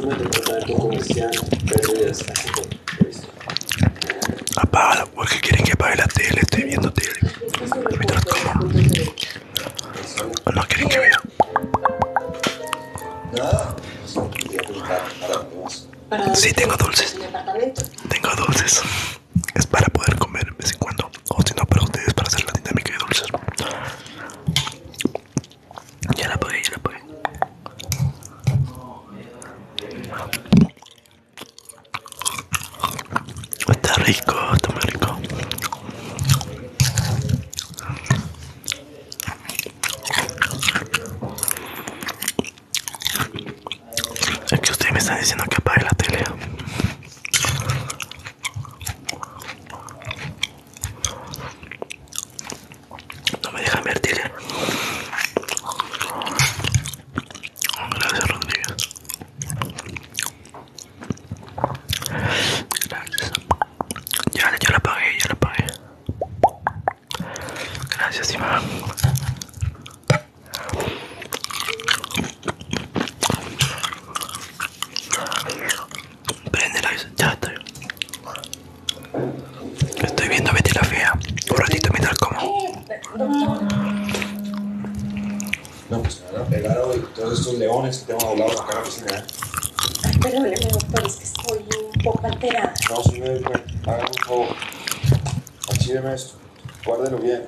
en comercial. Perdidas, ¿Por qué quieren que apague la tele, estoy viendo tele. ¿O No quieren que vea. Sí, tengo dulces. Tengo dulces. Es para poder comer de vez en cuando. O si no, para ustedes, para hacer la dinámica de dulces. Ya la voy ya la apagué. Está rico, está rico. Es que ustedes me están diciendo que apague la tele. No me deja mentir. Eh. Gracias, Rodríguez. Gracias. Ya, la pagué, ya la pagué. Gracias, Iván. Prende la ya está. Estoy viendo Betty la Fea. Un ratito mientras como. No, pues me van a y todos estos leones que tengo doblados acá en la piscina. Ay, ¿eh? perdóneme, doctor, es que estoy un poco alterada. No, sí, me, me hagan un favor. Archíveme esto, guárdelo bien.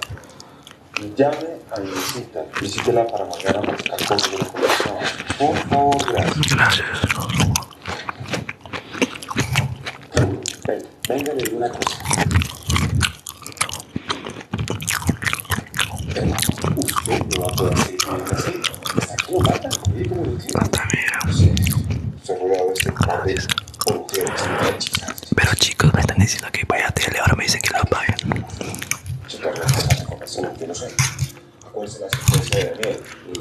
Y llame a mi visita. Visítela para mandar a buscar cosas la Por favor, gracias. Gracias venga, Pero chicos, me están diciendo que vaya a tele, ahora me dicen que lo apaguen. no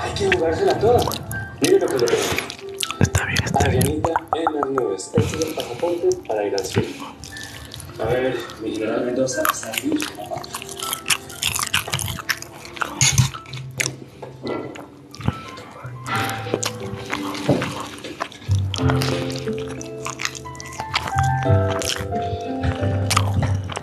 Hay que jugársela toda. Miren lo que le Está bien, está bien. en las nubes. Este es el pasaporte para ir al cielo. A ver, mi general Mendoza, salir.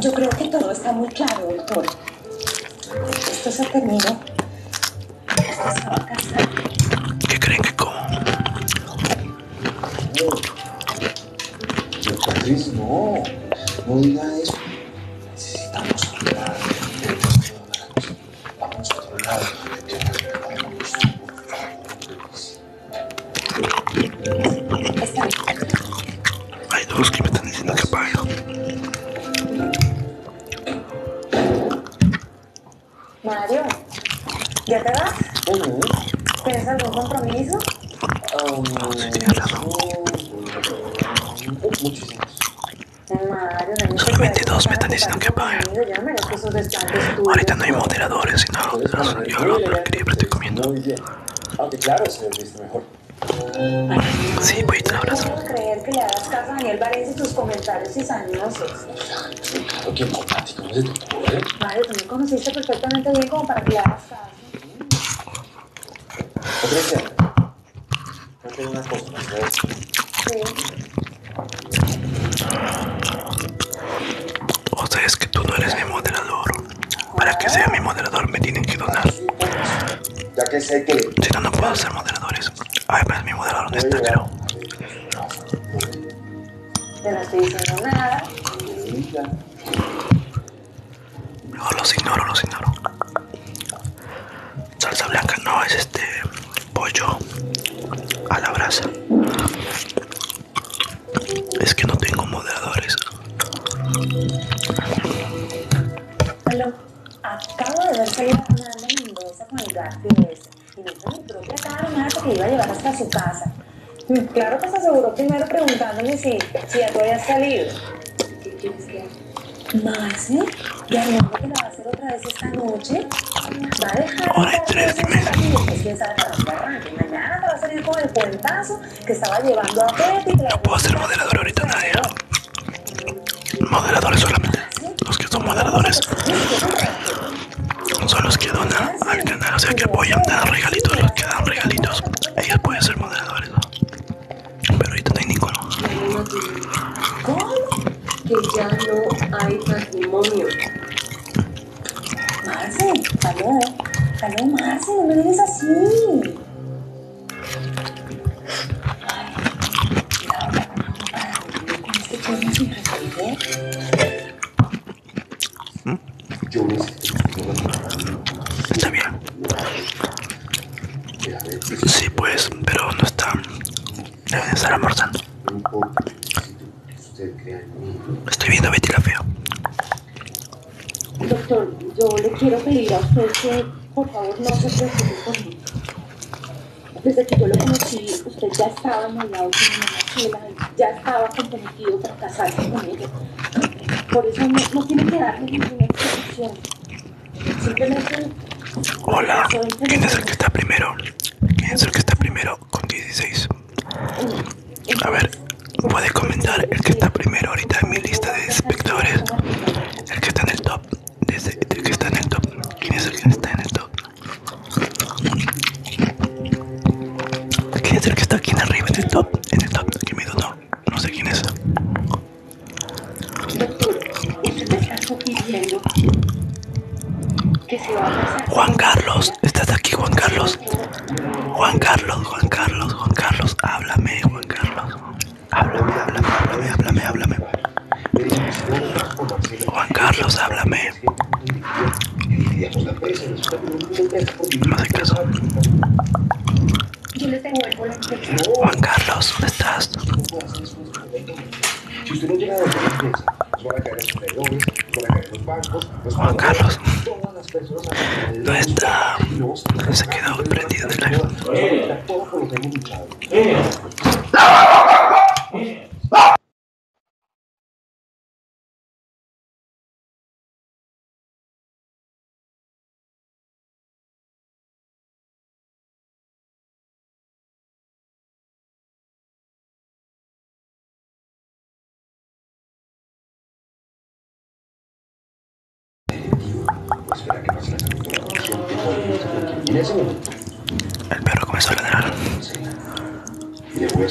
Yo creo que todo está muy claro, doctor. Esto se terminó. Esto se va a casar. ¿Qué creen que como? Pues no. No diga eso. Necesitamos hablar. Vamos a otro hay dos que me están diciendo que apague. Mario, ¿ya te vas? ¿Tienes algún compromiso? No, sí, claro. Son 22 me están diciendo que apague. Ahorita no hay moderadores los otros. Yo lo que estoy comiendo. Aunque ah, claro, mejor Sí, voy abrazo. creer que le hagas caso Daniel y sus comentarios y Claro Vale, tú me conociste perfectamente bien como para que le hagas caso. tengo una Sí. O sea, es que tú no eres mi moderador. Para que sea mi moderador me tienen que donar. Si no, no puedo ser moderadores. Ay, pero pues, mi moderador no está, creo. Pero nada. los ignoro, los ignoro. Salsa blanca no es este pollo a la brasa. Es que no tengo moderadores. Hello. Acabo de ver salir Fernanda Mendoza con el de ese. Y me dijo mi propia cara Marta que iba a llevar hasta su casa. Mm, claro que se aseguró primero preguntándome si, ya tú habías salido. ¿Qué quieres que haga? Más, ¿eh? Y Armando que la va a hacer otra vez esta noche. Va a dejar. Ahora, tres y media. Pues quién sabe para dónde arranque. Mañana te va a salir con el cuentazo que estaba llevando a No puedo ser moderador ahorita nadie. Moderadores solamente. Los que son moderadores son los que donan al canal, o sea que apoyan, dan regalitos, los que dan regalitos. Ellos pueden ser moderadores, pero ahorita no hay ninguno. ¿Qué? Que ya no hay matrimonio. Marce, aló, eh. aló Marce, no me así. Está bien. Sí, pues, pero no está. Está eh, estar Estoy viendo a Betty la Fea. Doctor, yo le quiero pedir a usted que por favor no se preocupe conmigo. Desde que yo lo conocí, usted ya estaba enamorado con una ya estaba comprometido para casarse con ella. Por eso no, no tiene que darle ninguna explicación. Simplemente... Hola, ¿quién es el que está primero? ¿Quién es el que está primero con 16? Eh, a ver, puede comentar el que está primero ahorita en mi lista de inspectores? el que está en el top, el que está en el top, quién es el que está en el top, quién es el que está aquí en arriba en el top, en el top, aquí me no, no sé quién es. Juan Carlos, estás aquí Juan Carlos. Juan Carlos, Juan Carlos, Juan Carlos, háblame, Juan Carlos. Háblame, háblame, háblame, háblame, háblame. Juan Carlos, háblame. No hace caso. Juan Carlos, ¿dónde estás? Juan Carlos no está, se ha quedado prendido en la... El perro comenzó a ladrar. Voy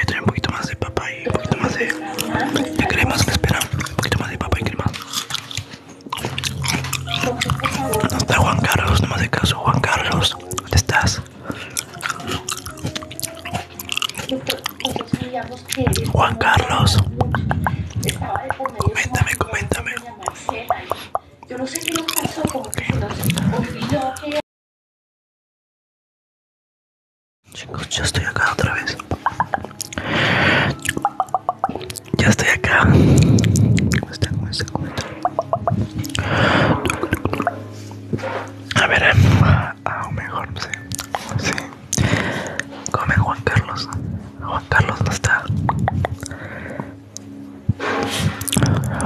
a traer un poquito más de papá y un poquito más de, cremas. crema, Un poquito más de papá y crema. ¿Dónde está Juan Carlos, no me hace caso. Juan Carlos, ¿dónde estás? Juan Carlos, coméntame, coméntame. Yo no sé qué nos pasó, con que se nos que. Chicos, ya estoy acá otra vez. Ya estoy acá. ¿Cómo está? ¿Cómo está? ¿Cómo está? A ver, aún mejor, sí. Come Juan Carlos. Juan Carlos no está.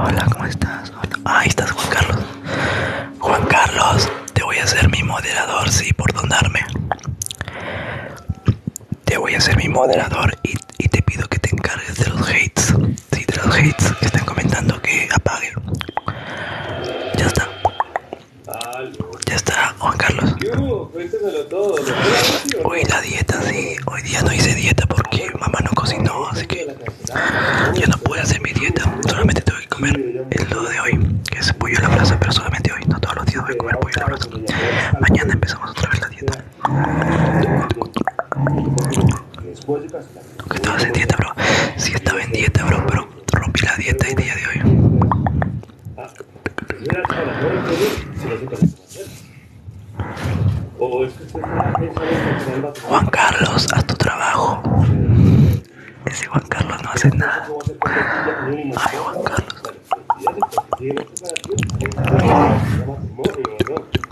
Hola, ¿cómo estás? ahí estás, Juan Carlos. Juan Carlos, te voy a hacer mi moderador, sí, por donarme. Te voy a hacer mi moderador y, y te pido que te encargues de los hates. Sí, de los hates que están comentando que apague. Ya está. Ya está, Juan Carlos. Hoy la dieta, sí. Hoy día no hice dieta porque mamá no cocinó, así que ya no pude hacer mi dieta. Solamente tuve que comer el lodo de hoy, que es pollo a la plaza. pero solamente hoy. No todos los días voy a comer pollo a la plaza. Mañana empezamos otra vez la dieta. Aunque en dieta, bro. Sí, estaba en dieta, bro, pero rompí la dieta el día de hoy. Juan Carlos, haz tu trabajo. Ese Juan Carlos no hace nada. Ay, Juan Carlos.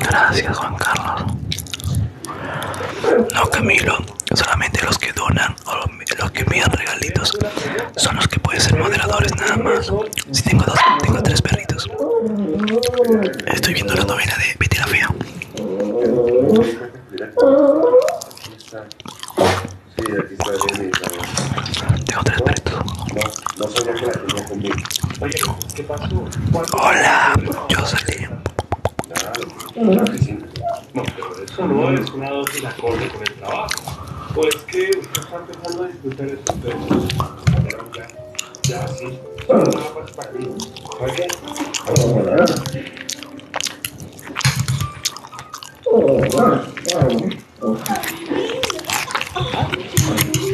Gracias Juan Carlos. No Camilo, solamente los que donan o los que me envían regalitos son los que pueden ser moderadores nada más. Si tengo dos, tengo tres perritos. Estoy viendo la novela de Betty la Fea. Tengo tres perritos. No sabía que la no conmigo. Oye, ¿qué pasó? Hola, yo salí. Claro, no, pero eso no es una dosis acorde con el trabajo. Pues que ustedes están empezando a disfrutar estos términos. Ya, ya, sí. Bueno, nada más para mí. Oye, vamos a ver. Oh, wow, wow.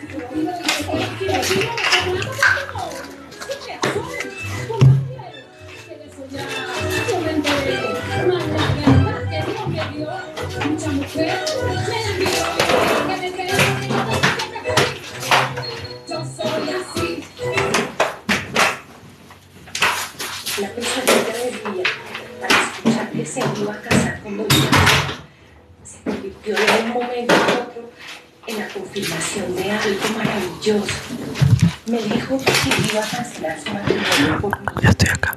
La persona del para escuchar que se iba a casar con se convirtió de un momento a otro en la confirmación de algo maravilloso. Me dijo que iba a cancelar su matrimonio por Ya estoy acá.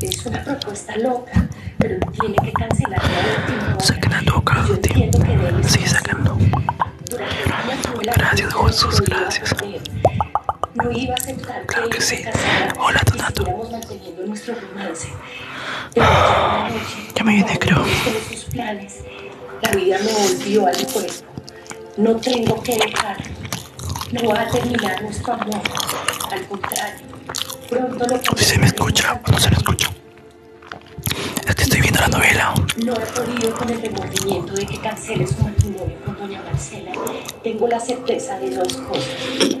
Es una propuesta loca, pero tiene que cancelar la última hora. loca, Yo Sí, que debe Sí, sacando. Gracias, Jesús, gracias. No iba a aceptar claro que, sí. Hola, Donato. manteniendo nuestro romance. Ya me viene, creo. la vida me volvió al cuerpo. No tengo que dejar. No va a terminar nuestro amor. Al contrario, pronto lo Si se me escucha no se me escucha. estoy viendo la novela. No he podido con el remordimiento de que canceles su matrimonio con doña Marcela. Tengo la certeza de dos cosas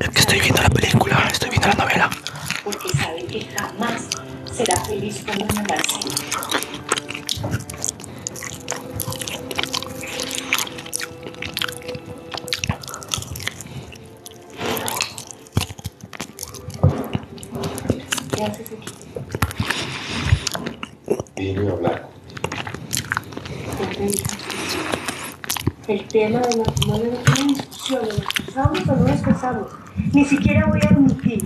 Es que estoy viendo la película, estoy viendo la novela. Porque sabe que jamás será feliz cuando una marcilla. ¿Qué haces aquí? hablar. ¿Qué el tema de matrimonio no tiene discusión, ¿lo o no descansamos, Ni siquiera voy a admitir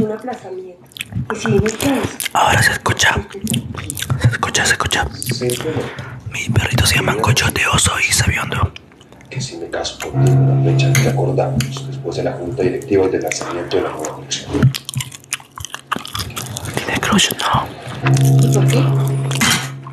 un aplazamiento. Y si Ahora se escucha. Se escucha, se escucha. mis perritos Mi perrito se llaman Cochote Oso y Sabiondo. Que si me caso contigo la fecha que acordamos después de la junta directiva del lanzamiento de la nueva ¿Tiene crush? No. ¿Y por qué?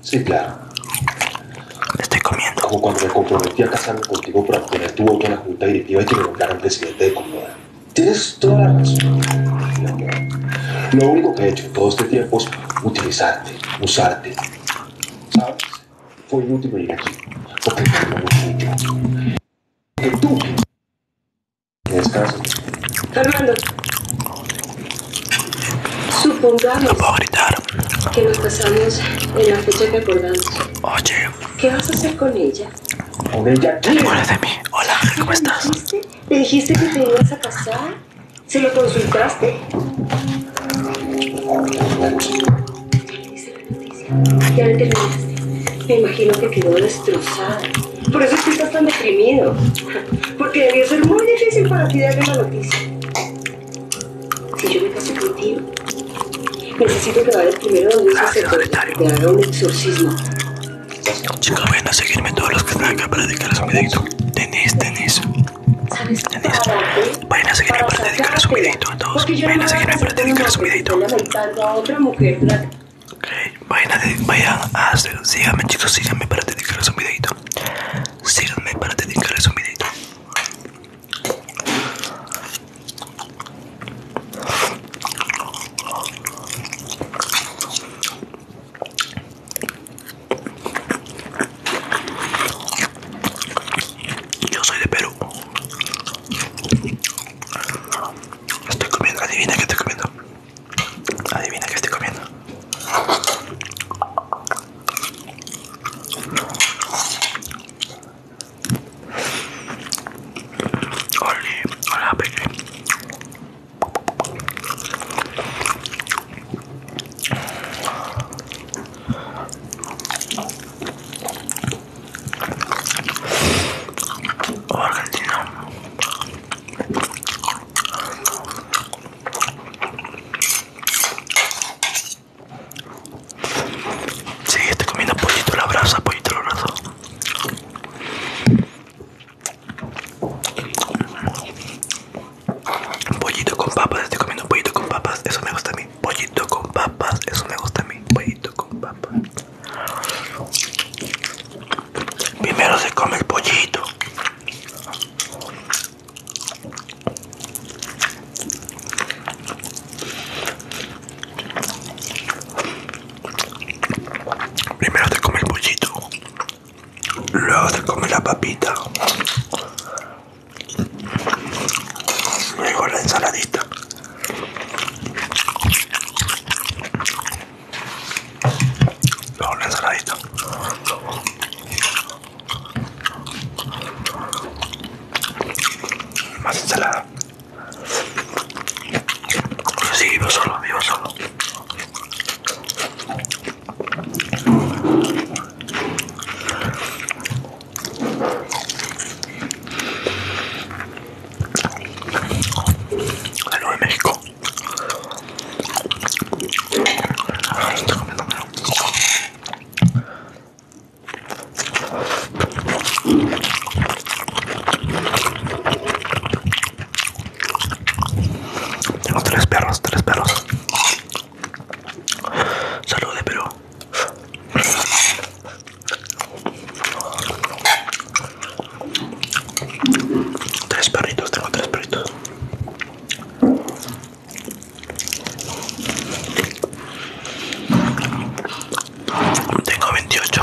Sí, claro. Estoy comiendo. Como cuando me comprometí a casarme contigo para poner tu voto en la Junta Directiva y que me nombraran presidente de Comoda. Tienes toda la razón. Lo único que he hecho todo este tiempo es utilizarte, usarte. ¿Sabes? Fue último venir aquí. Porque no me Porque tú. Descansa. ¡Fernando! Supongamos que nos pasamos en la fecha que acordamos. Oye. ¿Qué vas a hacer con ella? Hola, ¿cómo estás? ¿Le dijiste que te ibas a casar? ¿Se lo consultaste? Ya me terminaste. Me imagino que quedó destrozada. Por eso es que estás tan deprimido. Porque debió ser muy difícil para ti darle la noticia. Si yo me casé contigo, necesito que vayas primero donde se sacerdote dar haga un exorcismo. Chicos, vayan a seguirme todos los que están acá para dedicarles un videito. Tenis, tenis. qué? Vayan a seguirme para dedicarles un videito a todos. Vayan a seguirme para dedicarles un videito. Ok, vayan a, vayan a, síganme chicos, síganme para dedicarles un videito síganme para dedicarles un videito. Yo soy de Perú. Estoy comiendo, adivina qué estoy comiendo. Adivina que estoy comiendo. Oli, hola Peque. Oh, Argentina. Sí, estoy comiendo pollito a la brasa, pollito a la brasa. Pollito con papas, estoy comiendo pollito con papas, eso me gusta a mí. Pollito con papas, eso me gusta a mí. Pollito con papas. Primero se come el pollito. Primero te come el pollito, luego te come la papita, luego la ensaladita. Luego la ensaladita. Más ensalada. Sí, vivo solo, vivo solo. Algo en México. Tengo tres perros, tres perros. Salud de Tres perritos, tengo tres perritos. Tengo 28.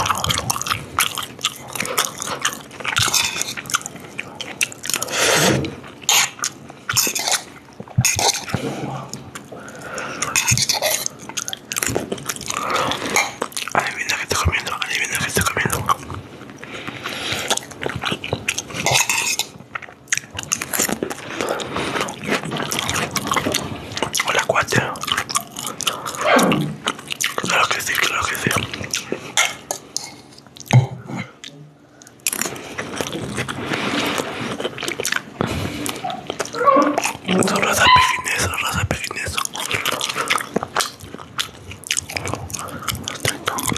Adivina que está comiendo, adivina que está comiendo. Hola cuate. Lo que sea, lo que sea. Solo es a pejinezo, solo es a pejinezo. Está bien.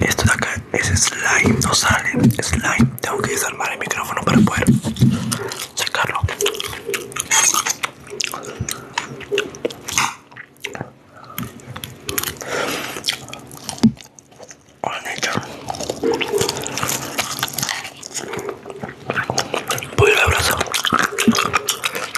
Esto de acá es slime, no sale slime. Tengo que desarmar el micrófono para poder sacarlo. Voy a abrazar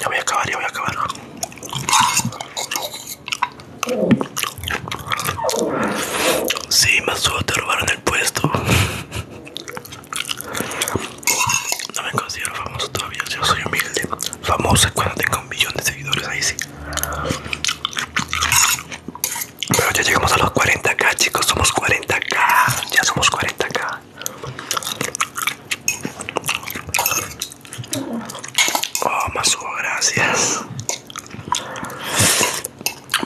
ya voy a acabar, ya voy a acabar. Sí, Masuo, te robaron el puesto. No me considero famoso todavía, yo soy humilde. Famoso es cuando tengo un millón de seguidores, ahí sí. Pero ya llegamos a los 40k, chicos, somos 40. 40k, ya somos 40k. Oh, Masu, gracias.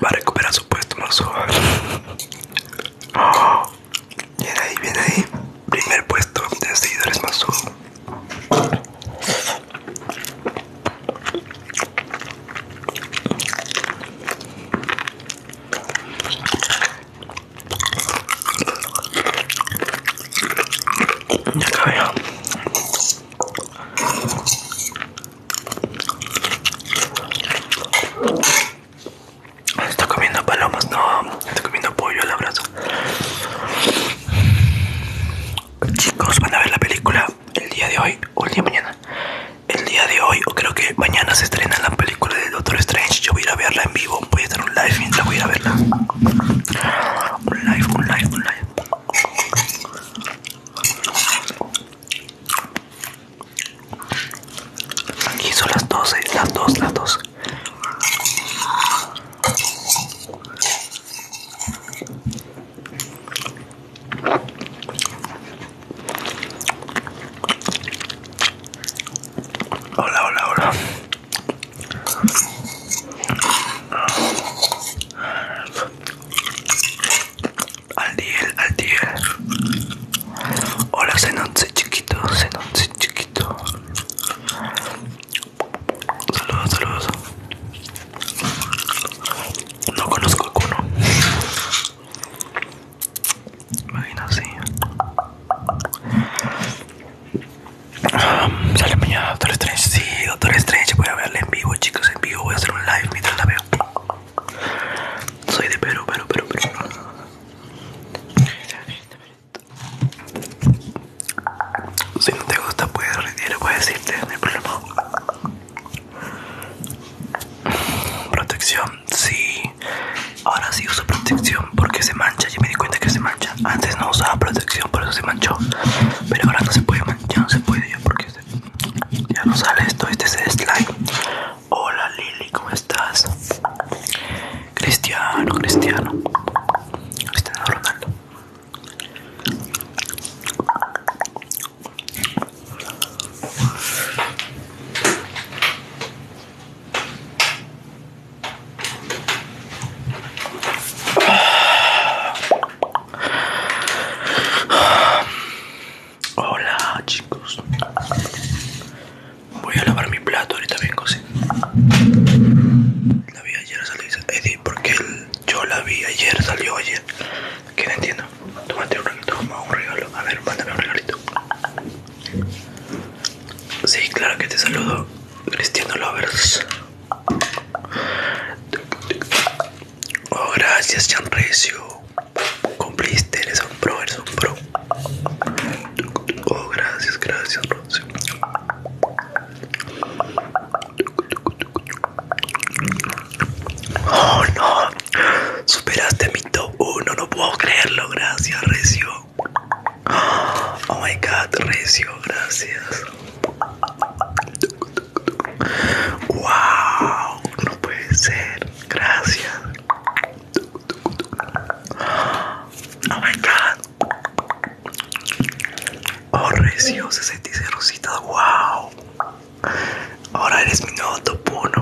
Va a recuperar su puesto, Masu. Oh, viene ahí, viene ahí. Primer puesto de seguidores, Masu. Ya acabé. Está comiendo palomas, no, está comiendo pollo al abrazo. Chicos, van a ver la película el día de hoy o el día mañana el día de hoy, o creo que mañana se estrena la película de Doctor Strange. Yo voy a ir a verla en vivo, voy a estar un live mientras voy a ir a verla. Un live, un live, un live. Aquí son las 12, las 2, las 12 Hola, hola, hola. Al diel, al diel. Hola, Zenonce chiquito, Zenonce chiquito. Saludos, saludos. No conozco a alguno! imagino así. Um, sale mañana Doctor Strange. Sí, Doctor Strange. Voy a verla en vivo, chicos. En vivo voy a hacer un live mientras la veo. Soy de Perú, Perú, Perú, Perú. Si no te gusta, puedes retirar, puedes irte. No hay problema. Protección, sí. Ahora sí uso protección porque se mancha. Ya me di cuenta que se mancha. Antes no usaba protección, por eso se manchó. Pero ahora no se puede manchar, ya no se puede ya porque ya no sale esto. Este es el slime. Hola Lili, ¿cómo estás? Cristiano, Cristiano. Cristiano Ronaldo. Hola chicos Voy a lavar mi plato, ahorita vengo sí. La vi ayer, salió Eddie, porque yo la vi ayer, salió ayer ¿Quién no entiendo Tómate un regalo, un regalo A ver, mándame un regalito Sí, claro que te saludo, Cristiano Lovers. Oh, gracias, Recio. Cumpliste, eres un pro, eres un pro. Oh, gracias, gracias, Rocio Oh, no. Superaste mi top 1, no puedo creerlo, gracias Recio. Oh my god, Recio, gracias. Wow, no puede ser, gracias. Oh my god. Oh Recio, 66 rositas, wow. Ahora eres mi nuevo top 1.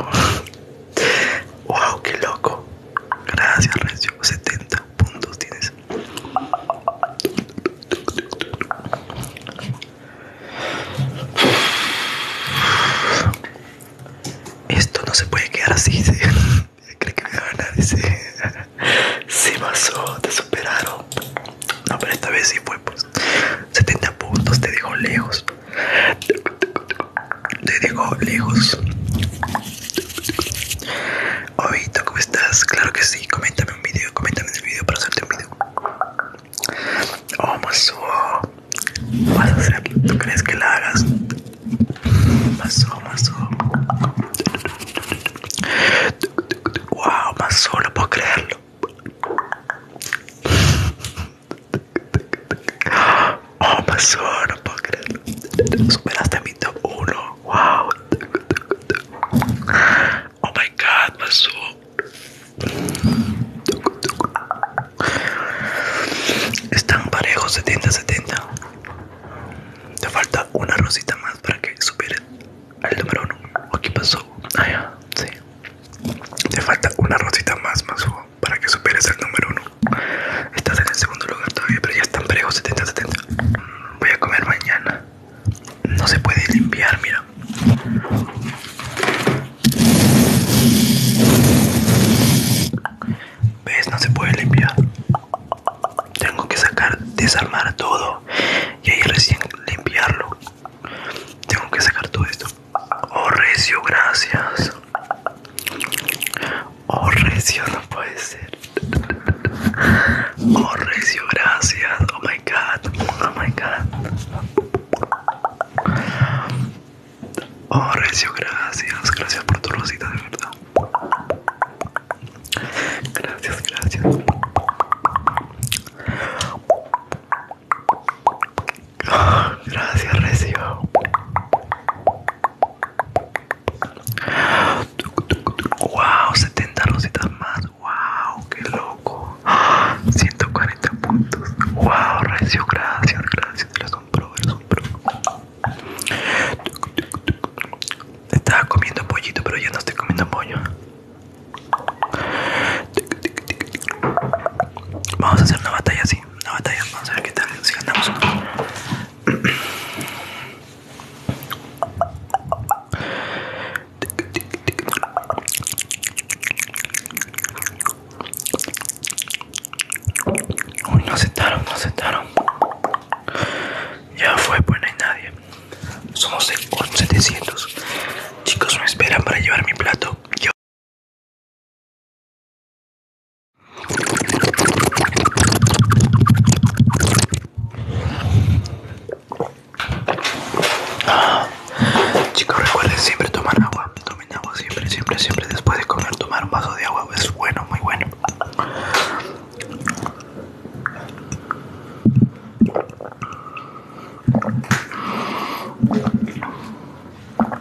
Wow, qué loco. Gracias, Recio. 70 puntos tienes. Esto no se puede quedar así. ¿sí? que me va a ganar. se pasó, te superaron. No, pero esta vez sí fue, pues. 70 puntos, te dijo lejos te dejo lejos. Obito, ¿cómo estás? Claro que sí, coméntame un video, coméntame un el video para hacerte un video. Oh, maso vas ¿tú crees que la hagas? Maso más Wow, maso no puedo creerlo. Oh my no puedo creerlo. Superaste a mi top 1. Wow. Oh my god, Masu. Están parejos 70-70. Te falta una rosita más para que supieres al número 1. Aquí pasó. Ah, ya, sí. Te falta una rosita más, Masu para que superes el número uno. Estás en el segundo lugar todavía, pero ya están brejos, 70-70. Mm, voy a comer mañana. No se puede limpiar, mira. ¿Ves? No se puede limpiar. Tengo que sacar, desarmar todo y ahí recién limpiarlo. Tengo que sacar todo esto. Oh, recio, gracias. Oh, recio, no puede ser. Oh, recio, gracias. Oh my god. Oh my god. Oh, recio, gracias. Gracias por tu rosita, de verdad. Gracias, gracias. Gracias, Recio. Wow, 70 rositas más. Wow, que loco. 140 puntos. Wow, Recio, gracias, gracias. Eres un pro, eres un pro. Estaba comiendo pollito, pero ya no estoy comiendo pollo. Vamos a hacer una batalla así. No una batalla, vamos a ver qué tal, si ganamos no. Uy, no aceptaron, no aceptaron. Ya fue, pues no hay nadie. Somos de 700. Chicos, me esperan para llevar mi plato. Chicos, recuerden siempre tomar agua. Tomen agua siempre, siempre, siempre. Después de comer, tomar un vaso de agua es bueno, muy bueno. Ok, ok,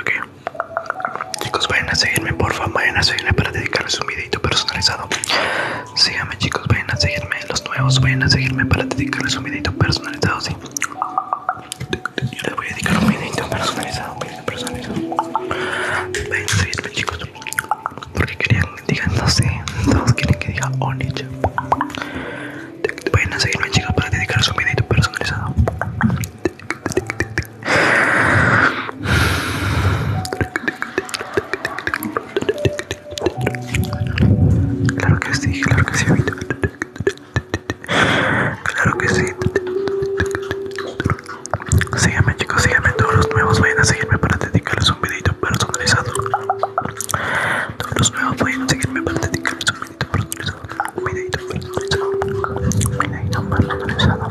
ok. Chicos, vayan a seguirme, favor vayan a seguirme para dedicarles un videito personalizado. Síganme chicos, vayan a seguirme Los nuevos, vayan a seguirme para dedicarles un videito personalizado ¿sí? Yo les voy a dedicar un videito personalizado Un videito personalizado Vayan a seguirme chicos Porque querían, digan, no sé Todos quieren que diga Onicha Vayan a seguirme chicos para dedicarles un videito personalizado Claro que sí, claro que sí. Claro que sí. Síganme chicos, síganme todos los nuevos. Vayan a seguirme para dedicarles un videito personalizado. Todos los nuevos vayan a seguirme para dedicarles un Un personalizado. Un personalizado. Un personalizado.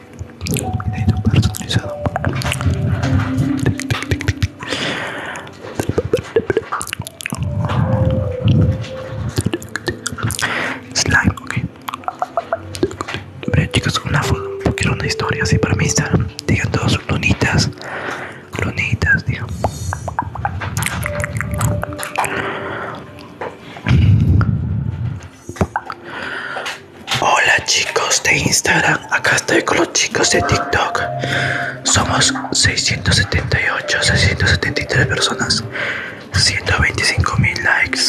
necesito personalizado slime ok ver, chicos una foto quiero una historia así para mí Instagram digan todos lunitas lunitas digan Hola chicos de Instagram, acá estoy con los chicos de TikTok. Somos 678, 673 personas, 125 mil likes.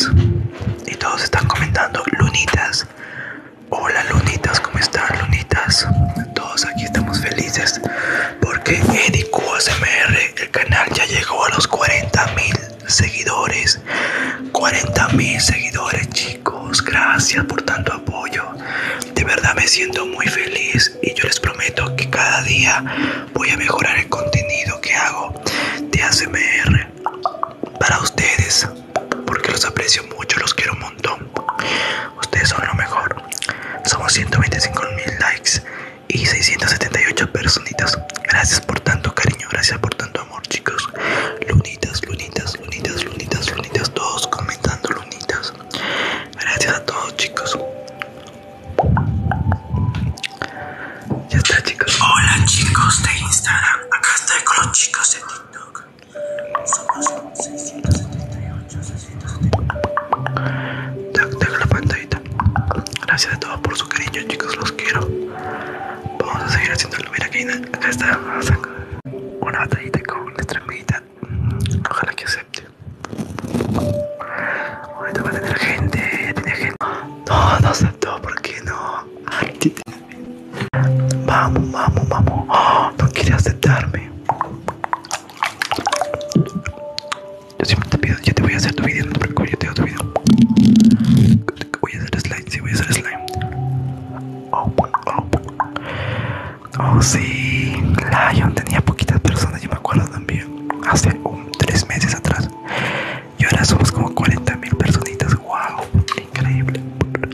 Y todos están comentando, Lunitas. Hola Lunitas, ¿cómo están Lunitas? Todos aquí estamos felices porque Edicu el canal ya llegó a los 40 mil seguidores 40 mil seguidores chicos gracias por tanto apoyo de verdad me siento muy feliz y yo les prometo que cada día voy a mejorar el contenido que hago de ASMR para ustedes porque los aprecio mucho los quiero un montón ustedes son lo mejor somos 125 mil likes y 678 personitas gracias por tanto cariño gracias por tanto amor, chicos. Lunitas, lunitas, lunitas, lunitas, lunitas. Todos comentando lunitas. Gracias a todos, chicos. Ya está, chicos. Hola, chicos de Instagram. Acá estoy con los chicos de TikTok. Somos 678, 678. Tac, tac, la pantallita. Gracias a todos por su cariño, chicos. Los quiero. Vamos a seguir haciéndolo. Mira, aquí, acá está. Una batallita con nuestra amiguita Ojalá que acepte. Ahorita va a tener gente. Ya tiene gente. No, no aceptó. ¿Por qué no? Vamos, vamos, vamos. ¡Oh! no quieres aceptarme. Yo siempre te pido, yo te voy a hacer tu video, no te preocupes, yo te hago tu video. Voy a hacer este si voy a hacer slime. Oh, oh, Lion tenía poquitas personas, yo me acuerdo también, hace tres meses atrás. Y ahora somos como 40 mil personitas, wow, increíble,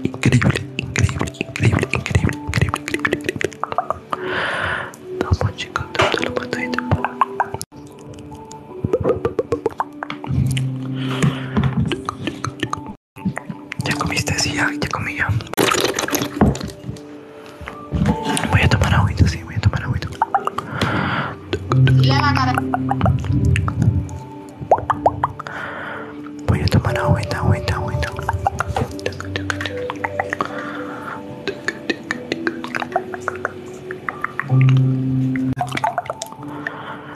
increíble, increíble, increíble, increíble, increíble, increíble. chicos, ¿Ya comiste? Sí, ya, ya comí ya. Voy a tomar agüita, sí, voy tomar agüita. Lava cara. Voy a tomar agüita,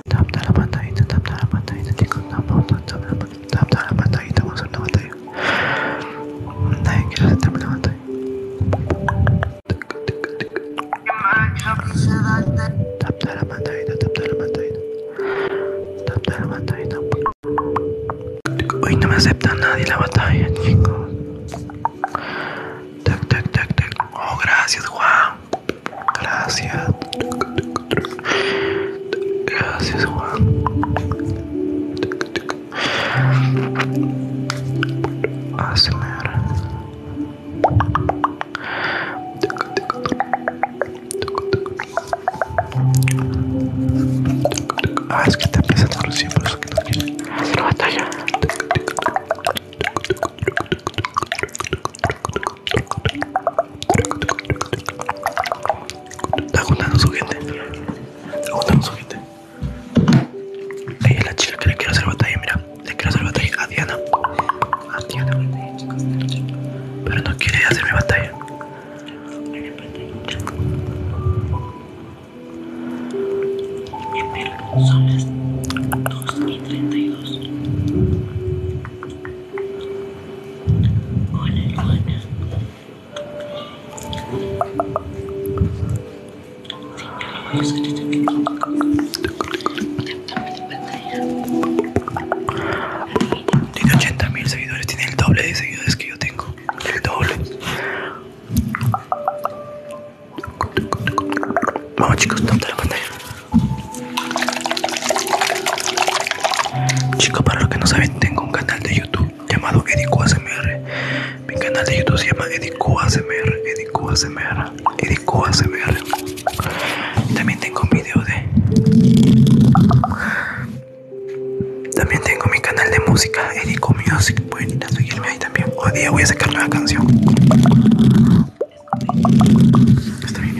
Tap la pantalla tap la pantalla chicos. la la Vamos a batalla. Nadie quiere la batalla. Tap la tap la Tap la Hoy no me acepta nadie la batalla, chico Tac, Oh, gracias, Juan. Gracias. Gracias, Juan. ASMR. Ah, es que te empieza a por eso que no Está juntando su gente. Está juntando su gente. Ella es la chica que le quiere hacer batalla, mira. Le quiere hacer batalla a Diana. A Diana Pero no quiere hacerme batalla. Son las 2 y 32. Hola, Tiene 80 mil seguidores, tiene el doble de seguidores que yo tengo. El doble. Vamos chicos, tómate la pantalla. Chicos, para los que no saben, tengo un canal de YouTube llamado Edicua Mi canal de YouTube se llama Edicua ASMR, Edicua También tengo un video de... También tengo mi canal de música, Edico Music. seguirme ahí también. Hoy día voy a sacar una canción. Está bien,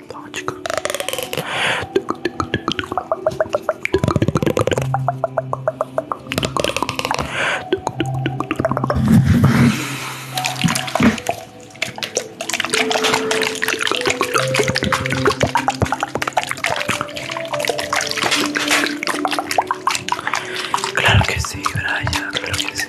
Claro que sí, Brian, claro que sí.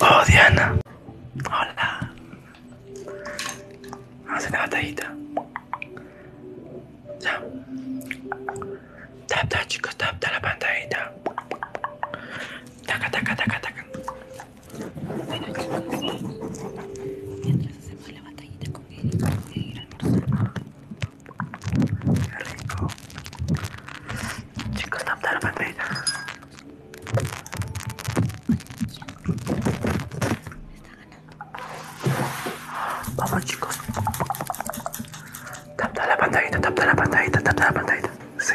Oh, Diana. Hola. Vamos a hacer una batallita. Ya. Tap, chicos, tap, la pantallita. Taca, taca, taca, taca. chicos Mientras hacemos la batallita con él, voy a ir a almorzar rico. Chicos, dame la pantalla Vamos chicos. Tapta la pantalla tapta la pantalla tapa la pantalla Sí.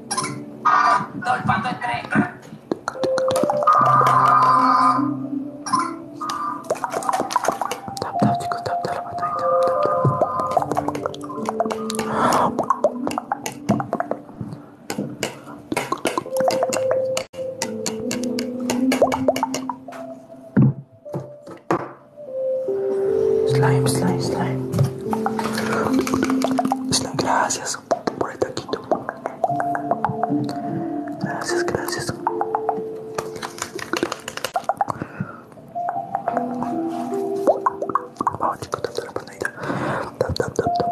Dolpando Tap, tap, chico! tap, tap tapa Slime, slime, slime. Slime, gracias por el taquito. Gracias, gracias. Vamos chicos, tapa la Tap, tap, tap, tap.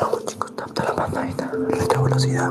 Vamos chicos, tapta la velocidad.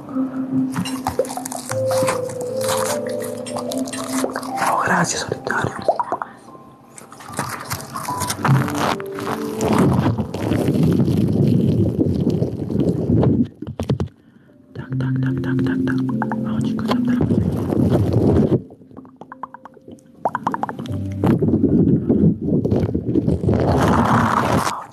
Oh, gracias, solitario. Tac, tac, tac, tac,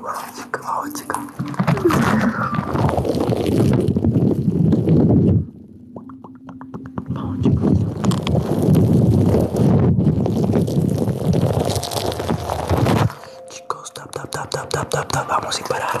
Vamos chicos, vamos Chicos, tap, tap, tap, tap, tap, tap, tap, vamos a parar.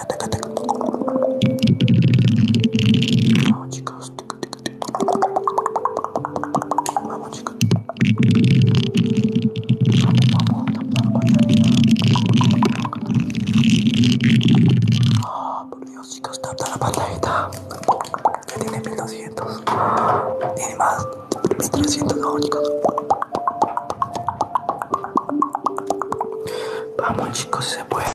taca, chicos, Vamos chicos. Vamos chicos. Vamos, vamos, chicos, tapa la pantalla. tiene 1200. Tiene más. 1300, chicos. Vamos chicos, se puede.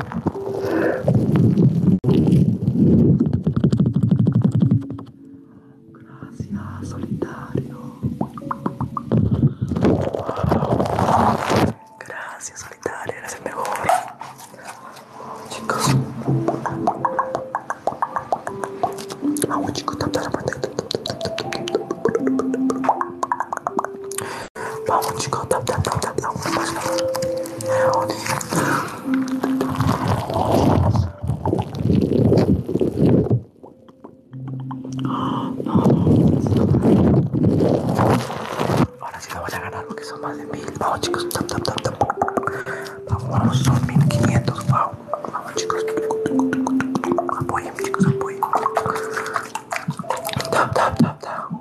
Gracias, solitario. Gracias, solitario. gracias el mejor. Chicos. Vamos chicos, tap, tap, tap, tap, tap. Ahora sí la a ganar porque son más de mil. Vamos chicos, tap, tap, tap, tap. Vamos, son 1500. Vamos chicos, apoyen chicos, apoyen. Tap, tap, tap, tap.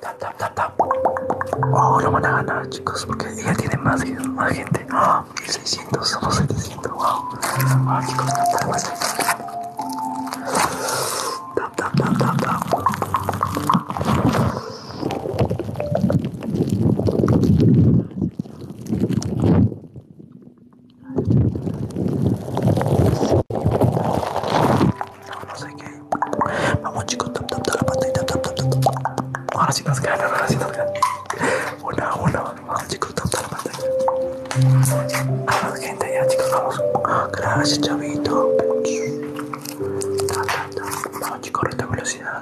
Tap, tap, tap, van a ganar, chicos, porque ella tiene más, gente. 1600, ¡Ah! Wow. ¡Ah, no sé qué. Vamos chicos, tap tap tap tap tap tap tap Ahora sí nos ganan, ahora sí nos ganan. Una, una, vamos chicos, tap tap tap Vamos gente, ya chicos, vamos. Gracias chavito. Tap tap tap. Vamos chicos, esta velocidad.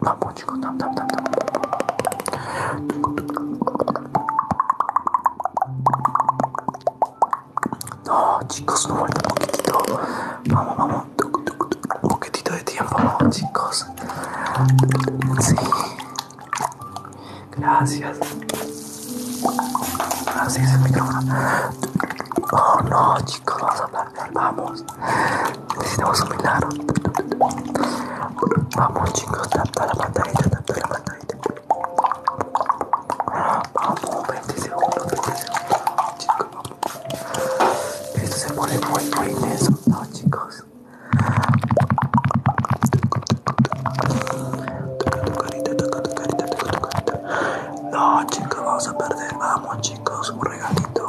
Vamos chicos, No chicos, no falta un poquitito. Vamos, vamos. Un poquitito de tiempo, chicos. Sí. Gracias. gracias el Oh no chicos, vamos a hablar, vamos. Necesitamos un milagro. Vamos chicos, tapa la pantallita, tapa la Vamos, 20 segundos, 20 segundos, chicos, vamos. Esto se pone muy, muy intenso, no chicos. Toca tu carita, toca tu carita, toca tu carita. No chicos, vamos a perder, vamos chicos, un regalito.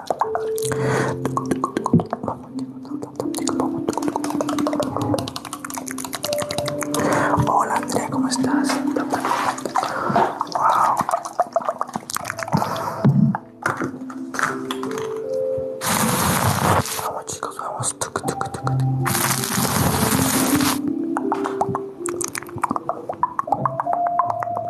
Hola Andrea, ¿cómo estás? Wow. Vamos chicos, vamos.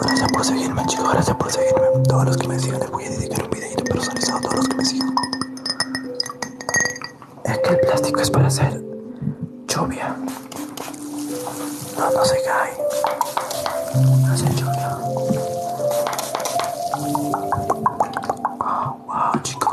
Gracias por seguirme, chicos. Gracias por seguirme. Todos los que me siguen les voy a dedicar un videito personalizado a todos los que me siguen. Es que el plástico es para hacer lluvia. No, no se cae. Hace lluvia. Ah, wow, chicos.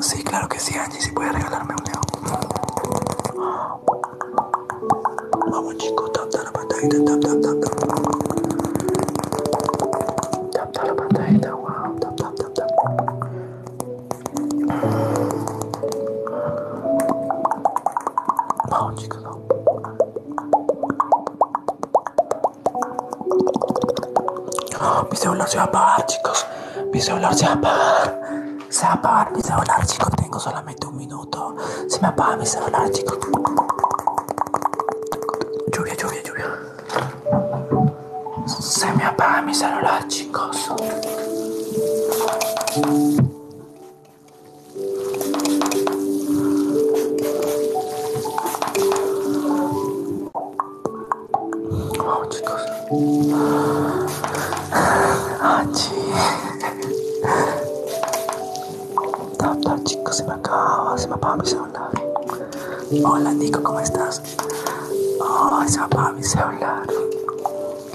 Sí, claro que sí, Angie, si puede regalarme un león. Vamos chicos, tap tap la tap tap tap tap. Tap tap la Tap, tap, tap tap tap tap. Vamos chicos, mi celular se va a apagar, chicos. Mi celular se va a apagar. Se va a apagar mi celular, chicos. Tengo solamente un minuto. Se me apaga mi celular, chicos. Lluvia, lluvia, lluvia. Se me apaga mi celular, chicos. Oh, chicos. Ah, chicos, se me acaba, se me apaga mi celular. Hola, Nico, ¿cómo estás? Oh, se me apaga mi celular.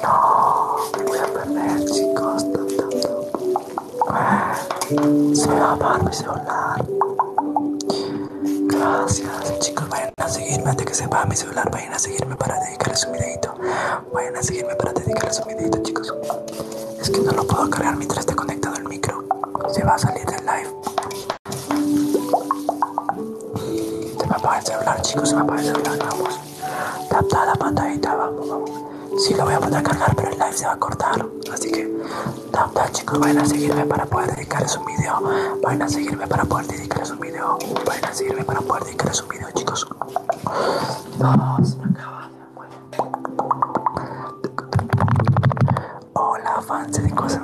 No, me voy a perder, chicos. Se va a apagar mi celular. Gracias, chicos. Vayan a seguirme antes que se va mi celular. Vayan a seguirme para dedicarles su videito. Vayan a seguirme para dedicarles su videito, chicos. Es que no lo puedo cargar mientras esté conectado el micro. Se va a salir del live. Se va a apagar el celular, chicos. Se va a apagar el celular. Vamos. Tap, la pantadita, vamos. Sí lo voy a poder cargar, pero el live se va a cortar. Así que, tap, tap, chicos, vayan a seguirme para poder dedicarles un video. Vayan a seguirme para poder dedicarles un video. Vayan a seguirme para poder dedicarles un video, chicos. No, se me Hola, fans de Cosas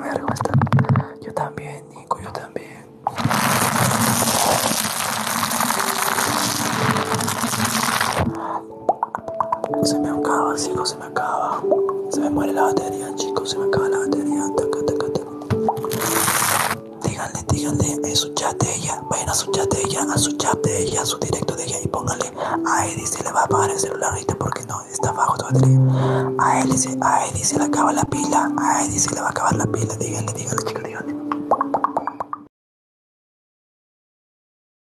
Yo también, Nico, yo también. Se me acaba, chicos, se me acaba. Se me muere la batería, chicos, se me acaba la batería. Díganle, díganle en su chat de ella. Vayan a su chat de ella, a su chat de ella, a su directo de ella y pónganle a dice, se le va a apagar el celular ahorita porque no, está bajo tu batería. A Eddie se, a le acaba la pila, a Eddie se le va a acabar la pila. Díganle, díganle, chicos, díganle.